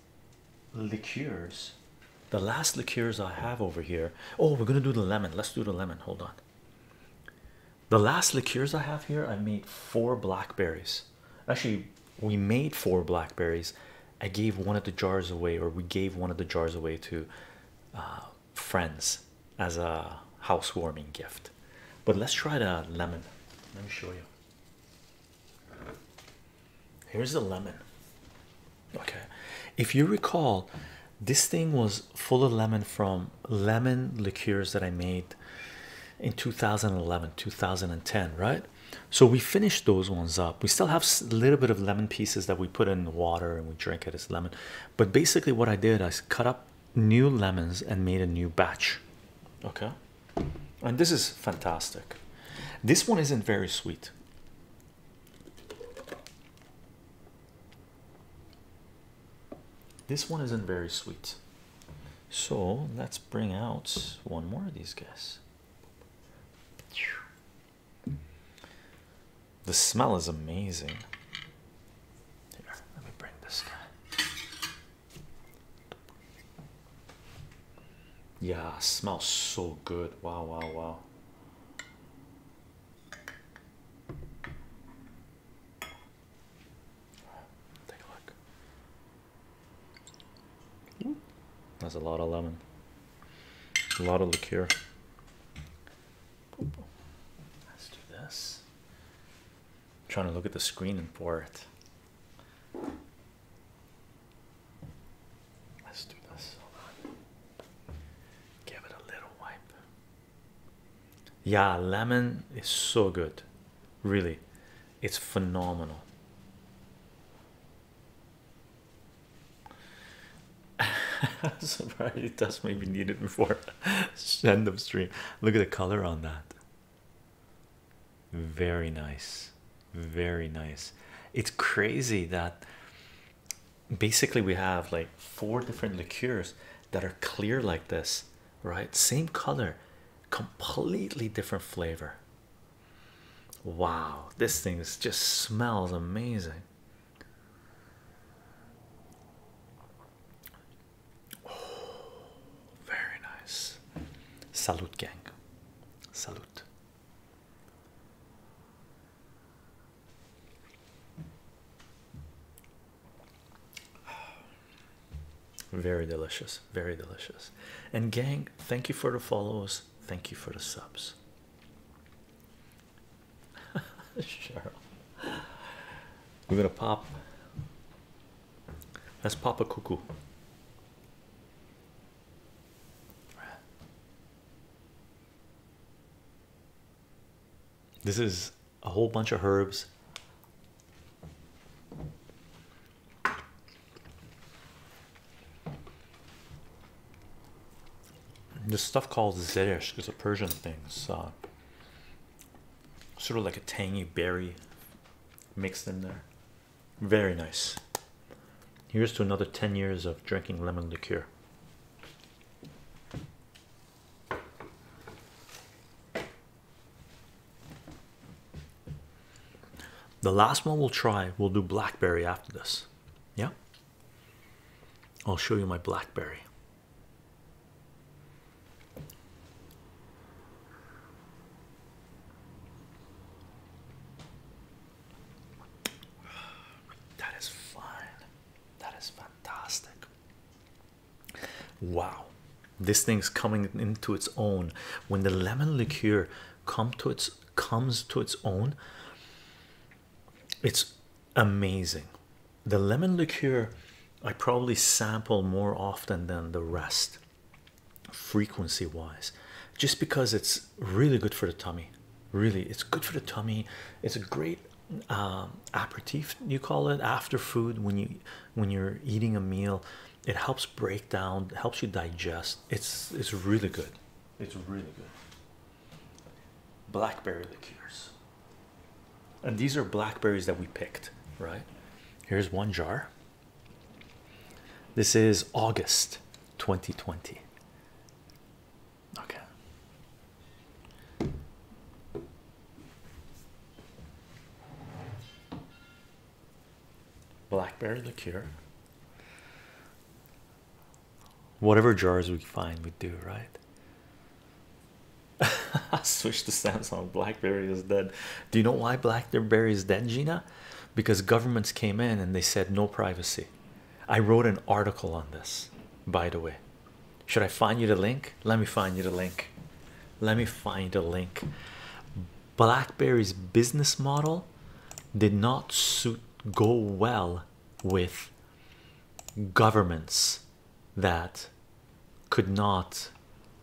liqueurs, the last liqueurs I have over here. Oh, we're gonna do the lemon. Let's do the lemon. Hold on. The last liqueurs I have here, I made four blackberries. Actually, we made four blackberries. I gave one of the jars away, or we gave one of the jars away to uh, friends as a housewarming gift. But let's try the lemon. Let me show you. Here's the lemon. Okay, if you recall, this thing was full of lemon from lemon liqueurs that I made in 2011, 2010, right? so we finished those ones up we still have a little bit of lemon pieces that we put in water and we drink it as lemon but basically what i did i cut up new lemons and made a new batch okay and this is fantastic this one isn't very sweet this one isn't very sweet so let's bring out one more of these guys the smell is amazing. Here, let me bring this guy. Yeah, smells so good. Wow, wow, wow. Take a look. That's a lot of lemon. A lot of liqueur. Let's do this. trying to look at the screen and for it. Let's do this. Give it a little wipe. Yeah, lemon is so good. Really. It's phenomenal. I'm surprised it does maybe needed before send of stream. Look at the color on that. Very nice, very nice. It's crazy that basically we have like four different liqueurs that are clear like this, right? Same color, completely different flavor. Wow, this thing just smells amazing. Oh, very nice. Salute, gang. Salute. Very delicious very delicious. And gang, thank you for the follows. Thank you for the subs. Cheryl. We're gonna pop. Let's pop a cuckoo. This is a whole bunch of herbs this stuff called zeresh is a Persian thing. It's sort of like a tangy berry mixed in there. Very nice. Here's to another 10 years of drinking lemon liqueur. The last one we'll try, we'll do blackberry after this. Yeah, I'll show you my blackberry. That is fine. That is fantastic. Wow, this thing's coming into its own when the lemon liqueur come to its comes to its own it's amazing the lemon liqueur i probably sample more often than the rest frequency wise just because it's really good for the tummy really it's good for the tummy it's a great um, aperitif you call it after food when you when you're eating a meal it helps break down helps you digest it's it's really good it's really good blackberry liqueurs and these are blackberries that we picked right here's one jar this is august 2020 okay blackberry liqueur whatever jars we find we do right I switched to samsung blackberry is dead do you know why blackberry is dead gina because governments came in and they said no privacy i wrote an article on this by the way should i find you the link let me find you the link let me find a link blackberry's business model did not suit go well with governments that could not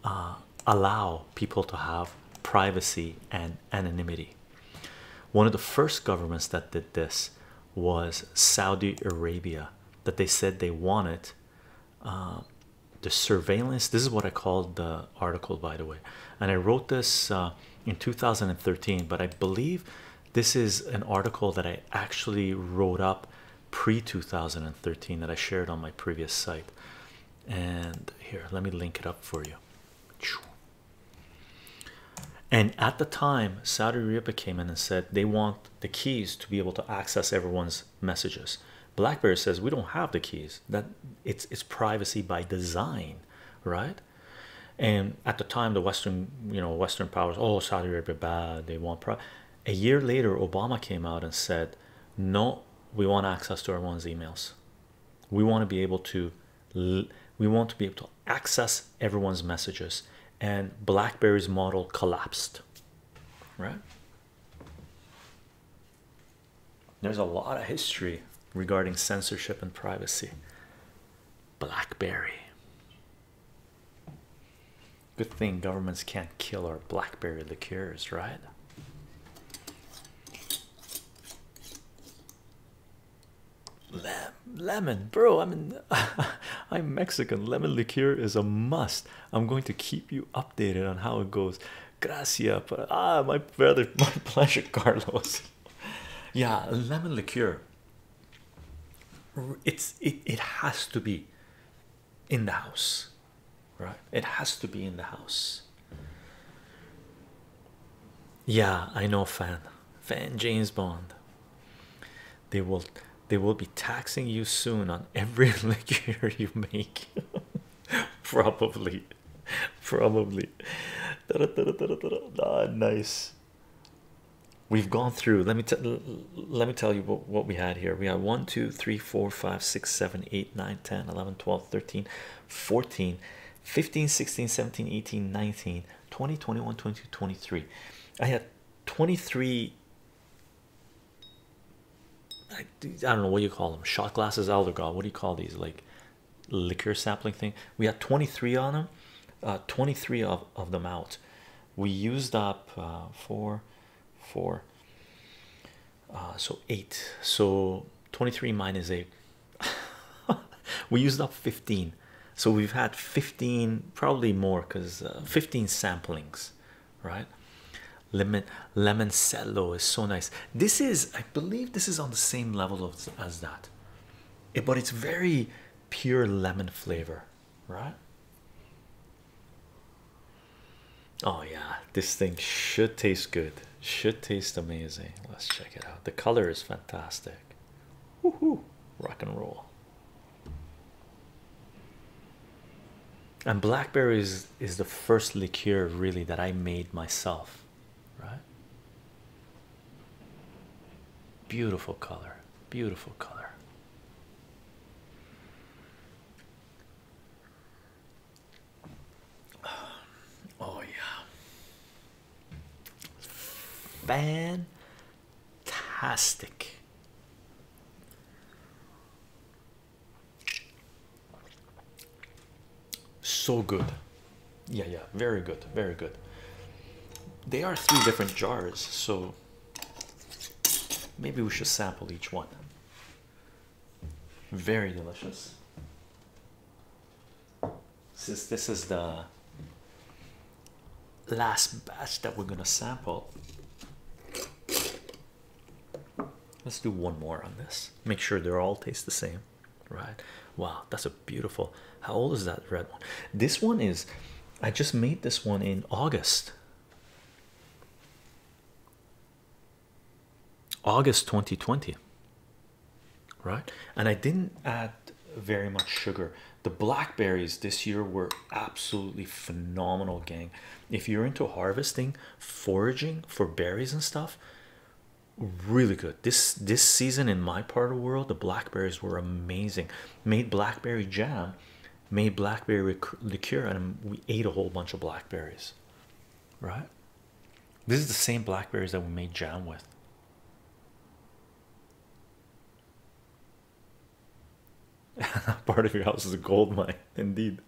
uh, allow people to have privacy and anonymity. One of the first governments that did this was Saudi Arabia, that they said they wanted uh, the surveillance. This is what I call the article by the way and i wrote this uh, in 2013 but i believe this is an article that i actually wrote up pre-2013 that i shared on my previous site and here let me link it up for you and at the time saudi arabia came in and said they want the keys to be able to access everyone's messages blackberry says we don't have the keys that it's it's privacy by design right and at the time the western you know western powers oh saudi arabia bad they want pro a year later obama came out and said no we want access to everyone's emails we want to be able to we want to be able to access everyone's messages and blackberry's model collapsed right there's a lot of history regarding censorship and privacy. Blackberry. Good thing governments can't kill our blackberry liqueurs, right? lemon, bro. I'm I'm Mexican. Lemon liqueur is a must. I'm going to keep you updated on how it goes. Gracias. But, ah, my brother, my pleasure, Carlos. yeah, lemon liqueur. It's it it has to be in the house, right? It has to be in the house. Yeah, I know fan. Fan James Bond. They will they will be taxing you soon on every liqueur you make. Probably. Probably. Ah, nice. We've gone through. Let me tell. Let me tell you what, we had here. We had 1, 2, 3, 4, 5, 6, 7, 8, 9, 10, 11, 12, 13, 14, 15, 16, 17, 18, 19, 20, 21, 22, 23. I had 23. I, I don't know what you call them. Shot glasses, elder god. What do you call these? Like liquor sampling thing we had 23 on them uh, 23 of, of them out we used up uh, four four uh, so eight so 23 minus eight we used up 15 so we've had 15 probably more because 15 samplings right lemon lemon is so nice this is i believe this is on the same level as that but it's very pure lemon flavor, right? Oh, yeah, this thing should taste good, should taste amazing. Let's check it out. The color is fantastic. Woohoo! Rock and roll. And blackberries is the first liqueur really that I made myself right? Beautiful color, beautiful color. Oh, yeah, fantastic. So good. Yeah, yeah, very good, very good. They are three different jars, so maybe we should sample each one. Very delicious. Since this is the last batch that we're gonna sample, let's do one more on this. Make sure they all taste the same right? Wow, that's a beautiful. How old is that red one? This one is, I just made this one in August. August 2020, right? And I didn't add very much sugar. The blackberries this year were absolutely phenomenal, gang. If you're into harvesting, foraging for berries and stuff, really good this this season in my part of the world the blackberries were amazing made blackberry jam made blackberry liqueur and we ate a whole bunch of blackberries right this is the same blackberries that we made jam with part of your house is a gold mine indeed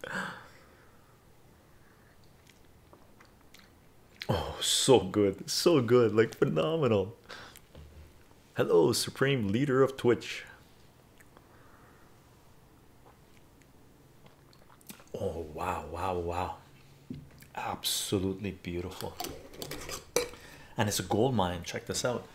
Oh, so good, so good, like phenomenal. Hello, Supreme Leader of Twitch. Oh, wow, wow, wow. Absolutely beautiful. And it's a gold mine. Check this out.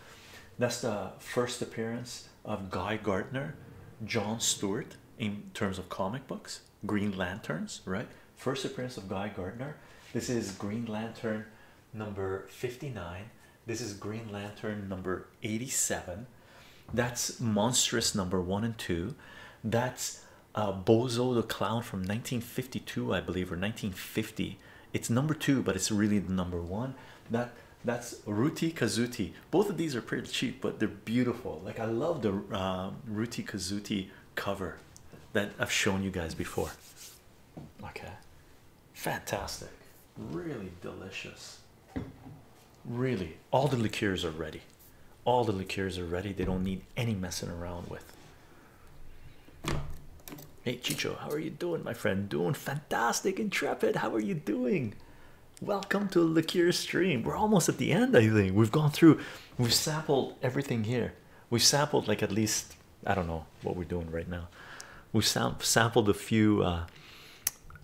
That's the first appearance of Guy Gardner, John Stewart in terms of comic books. Green Lanterns, right? First appearance of Guy Gardner. This is Green Lantern number 59. This is Green Lantern number 87. That's Monstrous number one and two. That's uh, Bozo the Clown from 1952, I believe, or 1950. It's number two, but it's really the number one. That that's Ruti Kazuti. Both of these are pretty cheap, but they're beautiful. Like I love the uh, Ruti Kazuti cover that I've shown you guys before. Okay, fantastic, really delicious. Really, all the liqueurs are ready. All the liqueurs are ready, they don't need any messing around with. Hey Chicho, how are you doing, my friend? Doing fantastic, intrepid. How are you doing? Welcome to a liqueur stream. We're almost at the end, I think. We've gone through, we've sampled everything here. We've sampled like at least I don't know what we're doing right now. We've sampled a few uh,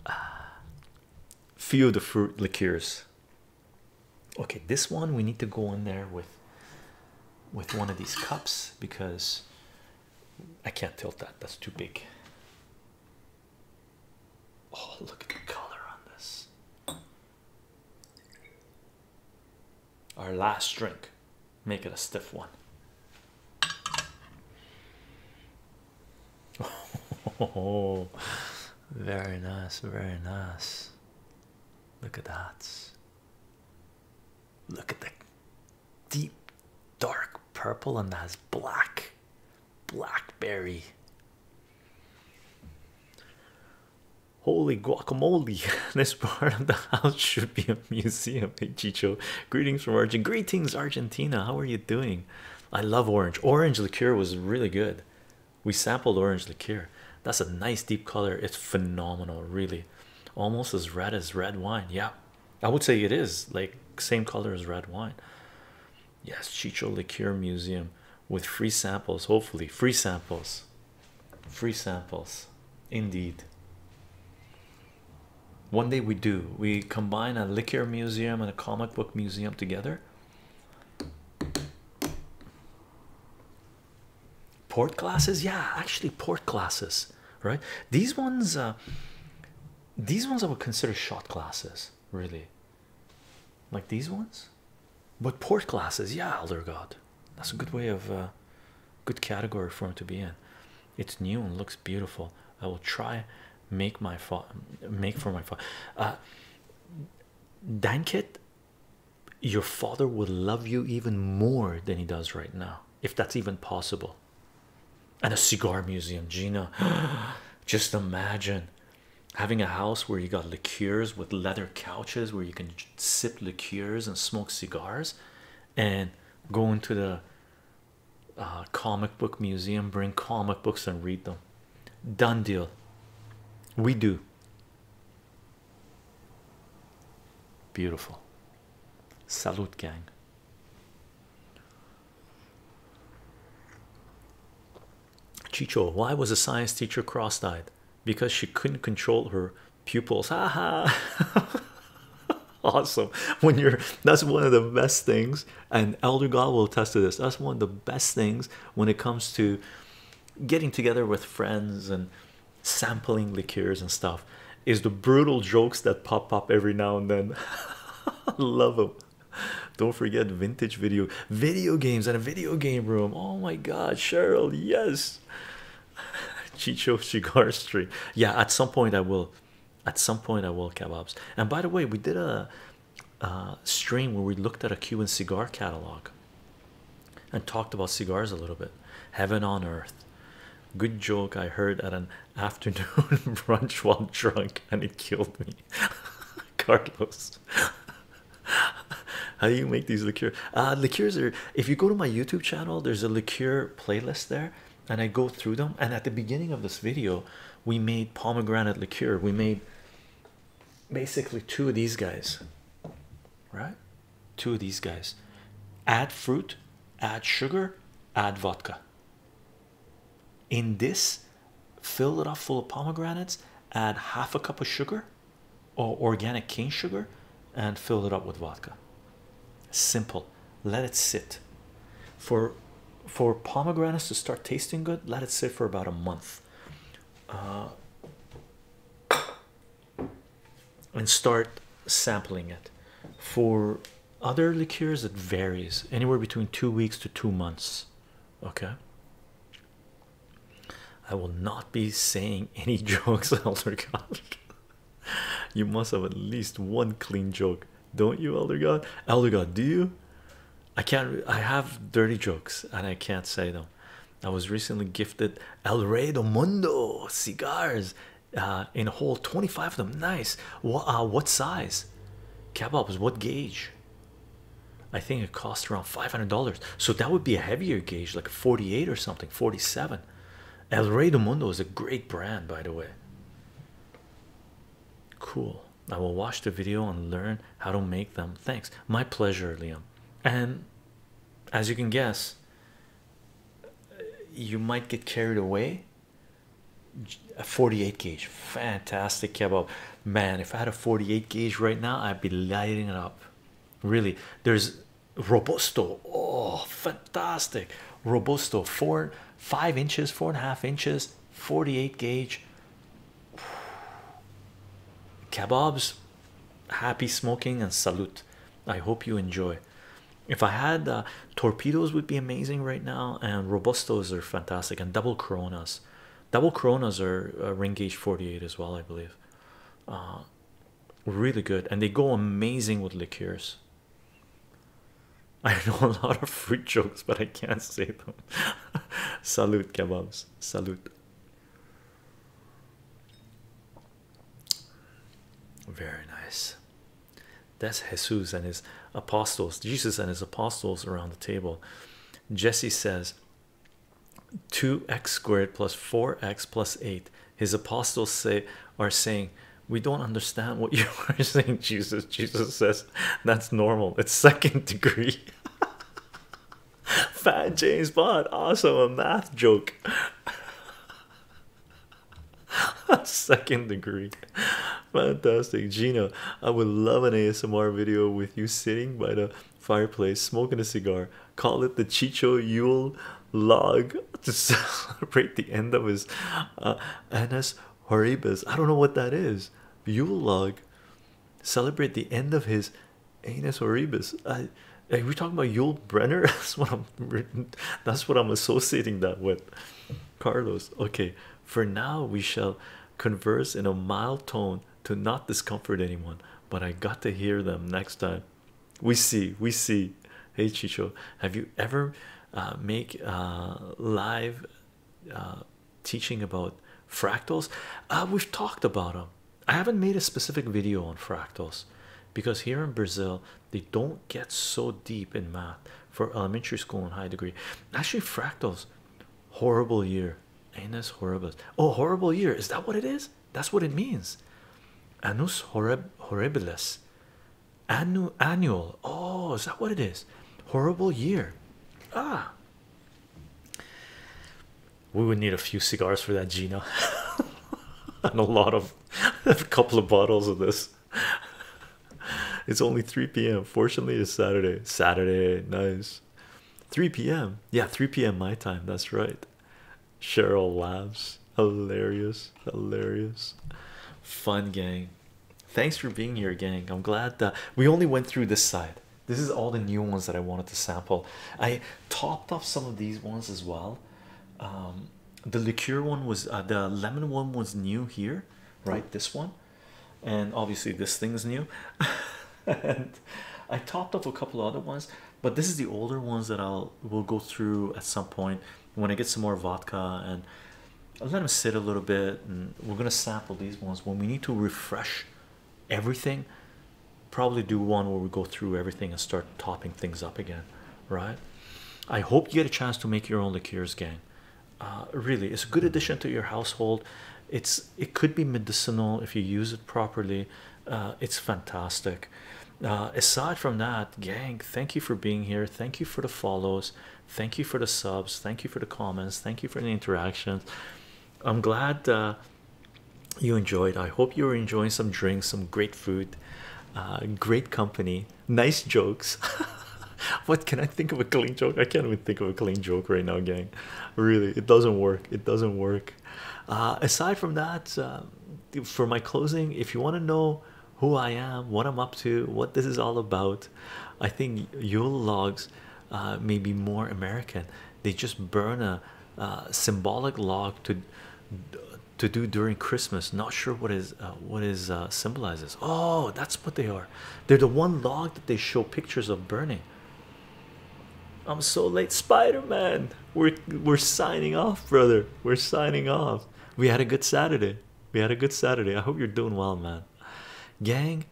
uh, few of the fruit liqueurs. Okay, this one we need to go in there with with one of these cups because I can't tilt that. That's too big. Oh, look at the color on this. Our last drink, make it a stiff one. Oh, very nice, very nice. Look at that. Look at the deep dark purple and that's black blackberry Holy guacamole! this part of the house should be a museum. Chicho, greetings from Argentina. Greetings Argentina. How are you doing? I love orange. Orange liqueur was really good. We sampled orange liqueur. That's a nice deep color. It's phenomenal, really. Almost as red as red wine. Yeah, I would say it is like same color as red wine. Yes, Chicho Liqueur Museum with free samples. Hopefully, free samples free samples indeed one day we do we combine a liquor museum and a comic book museum together port glasses yeah actually port glasses right these ones uh, these ones i would consider shot glasses really like these ones but port glasses, yeah, Elder God. That's a good way of, uh, good category for him to be in. It's new and looks beautiful. I will try make my make for my father. Uh, Dankit, your father would love you even more than he does right now, if that's even possible. And a cigar museum, Gina. Just imagine having a house where you got liqueurs with leather couches where you can sip liqueurs and smoke cigars and go into the uh, comic book museum, bring comic books and read them. Done deal. We do. Beautiful. Salute, gang. Chicho, why was the science teacher cross eyed? Because she couldn't control her pupils haha awesome when you're that's one of the best things and elder god will attest to this that's one of the best things when it comes to getting together with friends and sampling liqueurs and stuff is the brutal jokes that pop up every now and then love them don't forget vintage video video games and a video game room oh my god cheryl yes Chicho Cigar Street. Yeah, at some point I will. At some point I will kebabs. And by the way, we did a, a stream where we looked at a Cuban cigar catalog and talked about cigars a little bit. Heaven on earth. Good joke I heard at an afternoon brunch while drunk and it killed me. Carlos. How do you make these liqueurs? Uh, liqueurs are if you go to my YouTube channel, there's a liqueur playlist there, and I go through them. And at the beginning of this video, we made pomegranate liqueur, we made basically two of these guys, right? Two of these guys add fruit, add sugar, add vodka. In this, fill it up full of pomegranates, add half a cup of sugar or organic cane sugar and fill it up with vodka. Simple. Let it sit. For for pomegranates to start tasting good, let it sit for about a month. Uh, and start sampling it. For other liqueurs, it varies anywhere between two weeks to two months. Okay. I will not be saying any jokes, Elder God. you must have at least one clean joke, don't you, Elder God? Elder God, do you? I can't, I have dirty jokes and I can't say them. I was recently gifted El Rey do Mundo cigars uh, in a whole 25 of them. Nice. What, uh, what size? Kabobs? what gauge? I think it cost around $500. So that would be a heavier gauge, like 48 or something. 47. El Rey del Mundo is a great brand, by the way. Cool. I will watch the video and learn how to make them. Thanks. My pleasure, Liam. And as you can guess, you might get carried away. A 48 gauge, fantastic kebab. Man, if I had a 48 gauge right now, I'd be lighting it up. Really, there's robusto oh fantastic robusto four five inches four and a half inches 48 gauge kebabs happy smoking and salute i hope you enjoy if i had uh, torpedoes would be amazing right now and robustos are fantastic and double coronas double coronas are uh, ring gauge 48 as well i believe uh, really good and they go amazing with liqueurs i know a lot of fruit jokes but i can't say them salute kebabs salute very nice that's jesus and his apostles jesus and his apostles around the table jesse says 2x squared plus 4x plus 8 his apostles say are saying we don't understand what you are saying jesus jesus says that's normal it's second degree fat james bond awesome a math joke second degree fantastic gino i would love an asmr video with you sitting by the fireplace smoking a cigar call it the Chicho Yule log to celebrate the end of his anus uh, Annus Horribus. I don't know what that is. Yule log celebrate the end of his anus Horribus. are we talking about Yule Brenner? That's what I'm That's what I'm associating that with. Carlos. Okay. For now, we shall converse in a mild tone to not discomfort anyone. But I got to hear them next time we see we see hey chicho have you ever uh, make uh, live uh, teaching about fractals we've talked about them i haven't made a specific video on fractals because here in brazil they don't get so deep in math for elementary school and high degree actually fractals horrible year ain't this horrible oh horrible year is that what it is that's what it means. Annus horribilis. Annu annual. Oh, is that what it is? Horrible year. Ah. We would need a few cigars for that, Gina. and a lot of a couple of bottles of this. It's only 3 p.m. Fortunately, it's Saturday. Saturday, nice. 3 p.m. Yeah, 3 p.m. my time. That's right. Cheryl laughs. Hilarious, hilarious. Fun gang. Thanks for being here, gang. I'm glad that we only went through this side. This is all the new ones that I wanted to sample. I topped off some of these ones as well. Um, the liqueur one was uh, the lemon one was new here, right? This one, and obviously this thing's new. and I topped off a couple other ones but this is the older ones that I'll we will go through at some point when I get some more vodka and let them sit a little bit and we're gonna sample these ones when we need to refresh everything probably do one where we go through everything and start topping things up again right I hope you get a chance to make your own liqueurs gang uh, really it's a good addition to your household it's it could be medicinal if you use it properly uh, it's fantastic uh, aside from that gang thank you for being here thank you for the follows thank you for the subs thank you for the comments thank you for the interactions i'm glad uh, you enjoyed i hope you were enjoying some drinks some great food great company nice jokes what can i think of a clean joke i can't even think of a clean joke right now gang really it doesn't work it doesn't work uh, aside from that, um, for my closing, if you want to know who I am, what I'm up to, what this is all about, I think Yule logs uh, may be more American. They just burn a uh, symbolic log to to do during Christmas. Not sure what is what is symbolizes. Oh, that's what they are. They're the one log that they show pictures of burning. I'm so late, Spider Man. We're we're signing off, brother. We're signing off. We had a good Saturday. We had a good Saturday. I hope you're doing well, man. Gang,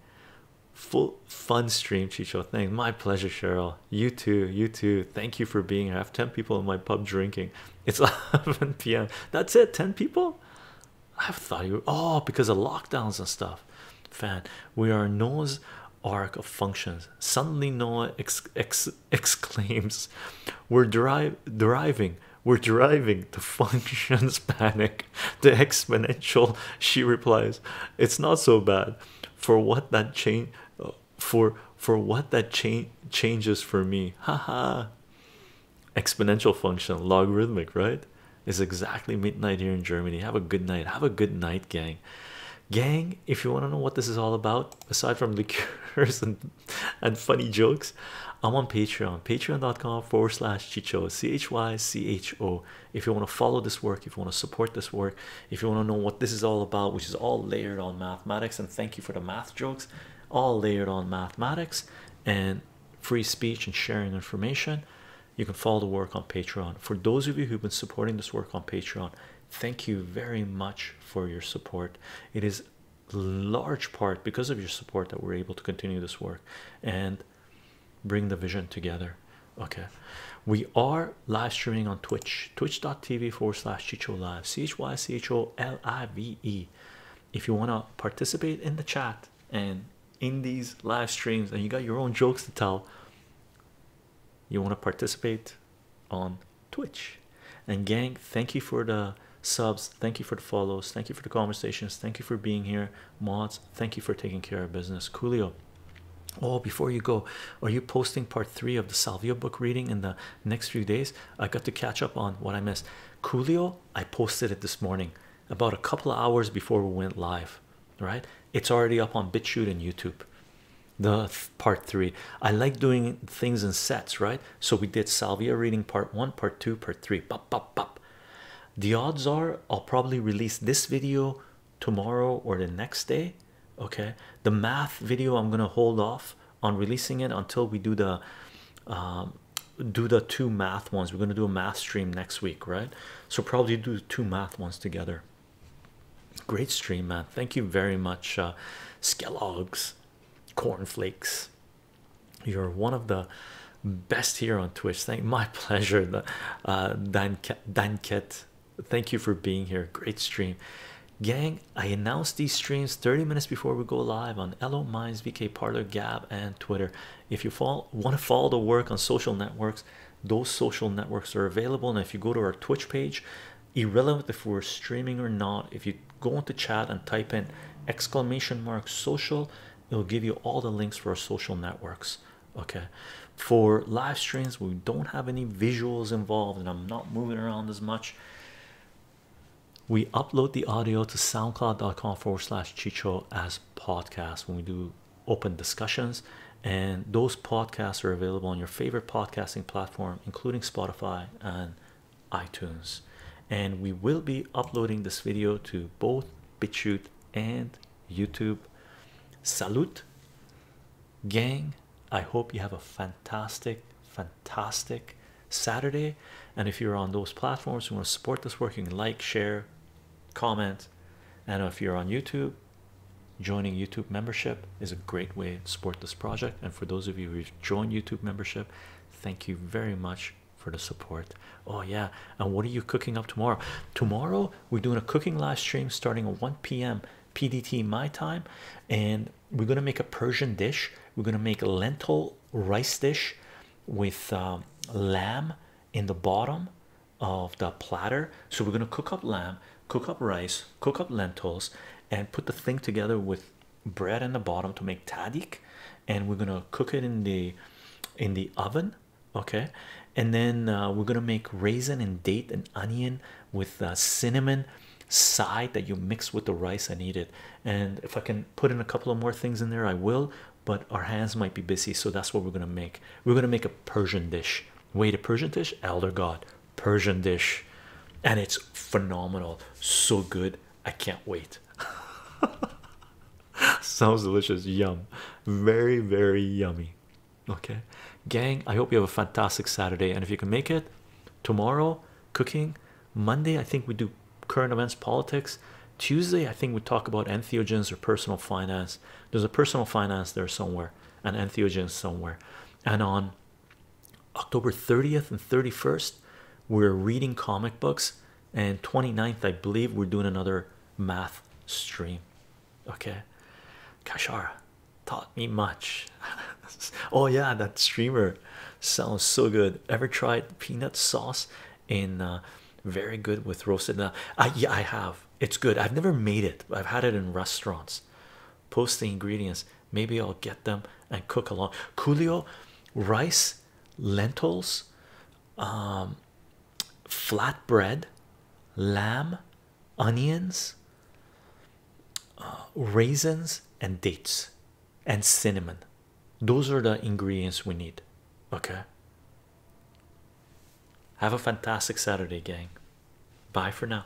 full fun stream, Chicho. Thank My pleasure, Cheryl. You too. You too. Thank you for being here. I have 10 people in my pub drinking. It's 11 p.m. That's it. 10 people? I thought you were, oh, because of lockdowns and stuff. Fan, we are Noah's arc of functions. Suddenly, Noah ex, ex exclaims, We're driving, we're driving the function's panic, the exponential. She replies, It's not so bad for what that change for for what that change changes for me. Haha. Exponential function, logarithmic, right? Is exactly midnight here in Germany. Have a good night. Have a good night, gang. Gang, if you want to know what this is all about, aside from liqueurs and and funny jokes. I'm on Patreon, patreon.com forward slash Chicho, C H Y C H O. If you want to follow this work, if you want to support this work, if you want to know what this is all about, which is all layered on mathematics, and thank you for the math jokes, all layered on mathematics and free speech and sharing information. You can follow the work on Patreon. For those of you who've been supporting this work on Patreon, Thank you very much for your support. It is large part because of your support that we're able to continue this work and bring the vision together. Okay, we are live streaming on Twitch, twitch.tv forward slash Chicho Live, C H Y C H O L I V E. If you want to participate in the chat and in these live streams, and you got your own jokes to tell, you want to participate on Twitch. And gang, thank you for the subs, thank you for the follows, thank you for the conversations, thank you for being here. Mods, thank you for taking care of business. Coolio. Oh, before you go, are you posting part three of the Salvia book reading in the next few days? I got to catch up on what I missed. Coolio, I posted it this morning about a couple of hours before we went live. Right? It's already up on BitChute and YouTube. The part three. I like doing things in sets, right? So we did Salvia reading part one, part two, part three. Pop, pop, pop. The odds are I'll probably release this video tomorrow or the next day. Okay, the math video I'm gonna hold off on releasing it until we do the um, do the two math ones. We're gonna do a math stream next week, right? So probably do two math ones together. Great stream, man. Thank you very much, uh, Skelogs cornflakes you're one of the best here on twitch thank my pleasure the uh danket thank you for being here great stream gang i announce these streams 30 minutes before we go live on Elo Minds, vk parlor gab and twitter if you fall want to follow the work on social networks those social networks are available and if you go to our twitch page irrelevant if we're streaming or not if you go into chat and type in exclamation mark social it'll give you all the links for our social networks okay for live streams we don't have any visuals involved and i'm not moving around as much we upload the audio to soundcloud.com forward slash chicho as podcast when we do open discussions and those podcasts are available on your favorite podcasting platform including spotify and iTunes, and we will be uploading this video to both BitChute and YouTube. Salute, gang! I hope you have a fantastic, fantastic Saturday. And if you're on those platforms, you want to support this work, you can like, share, comment. And if you're on YouTube, joining YouTube membership is a great way to support this project. And for those of you who Join YouTube membership, thank you very much for the support. Oh, yeah, and what are you cooking up tomorrow? Tomorrow, we're doing a cooking live stream starting at 1 p.m. PDT my time, and we're gonna make a Persian dish, we're gonna make a lentil rice dish with um, lamb in the bottom of the platter. So, we're gonna cook up lamb, cook up rice, cook up lentils, and put the thing together with bread in the bottom to make tadik and we're gonna cook it in the in the oven okay and then uh, we're gonna make raisin and date and onion with uh, cinnamon side that you mix with the rice and eat it and if i can put in a couple of more things in there i will but our hands might be busy so that's what we're gonna make we're gonna make a persian dish wait a persian dish elder god Persian dish, and it's phenomenal. So good, I can't wait. Sounds delicious, yum, very, very yummy. Okay, gang, I hope you have a fantastic Saturday. And if you can make it tomorrow, cooking Monday, I think we do current events, politics. Tuesday, I think we talk about entheogens or personal finance. There's a personal finance there somewhere, and entheogens somewhere. And on October 30th and 31st, we're reading comic books, and 29th, I believe, we're doing another math stream. Okay, Kashara taught me much. oh, yeah, that streamer sounds so good. Ever tried peanut sauce in uh, very good with roasted? Now, yeah, I have. It's good. I've never made it. I've had it in restaurants. Post the ingredients. Maybe I'll get them and cook along. Coolio, rice, lentils, um, flatbread, lamb, onions, uh, raisins, and dates, and cinnamon. Those are the ingredients we need. Okay. Have a fantastic Saturday, gang. Bye for now.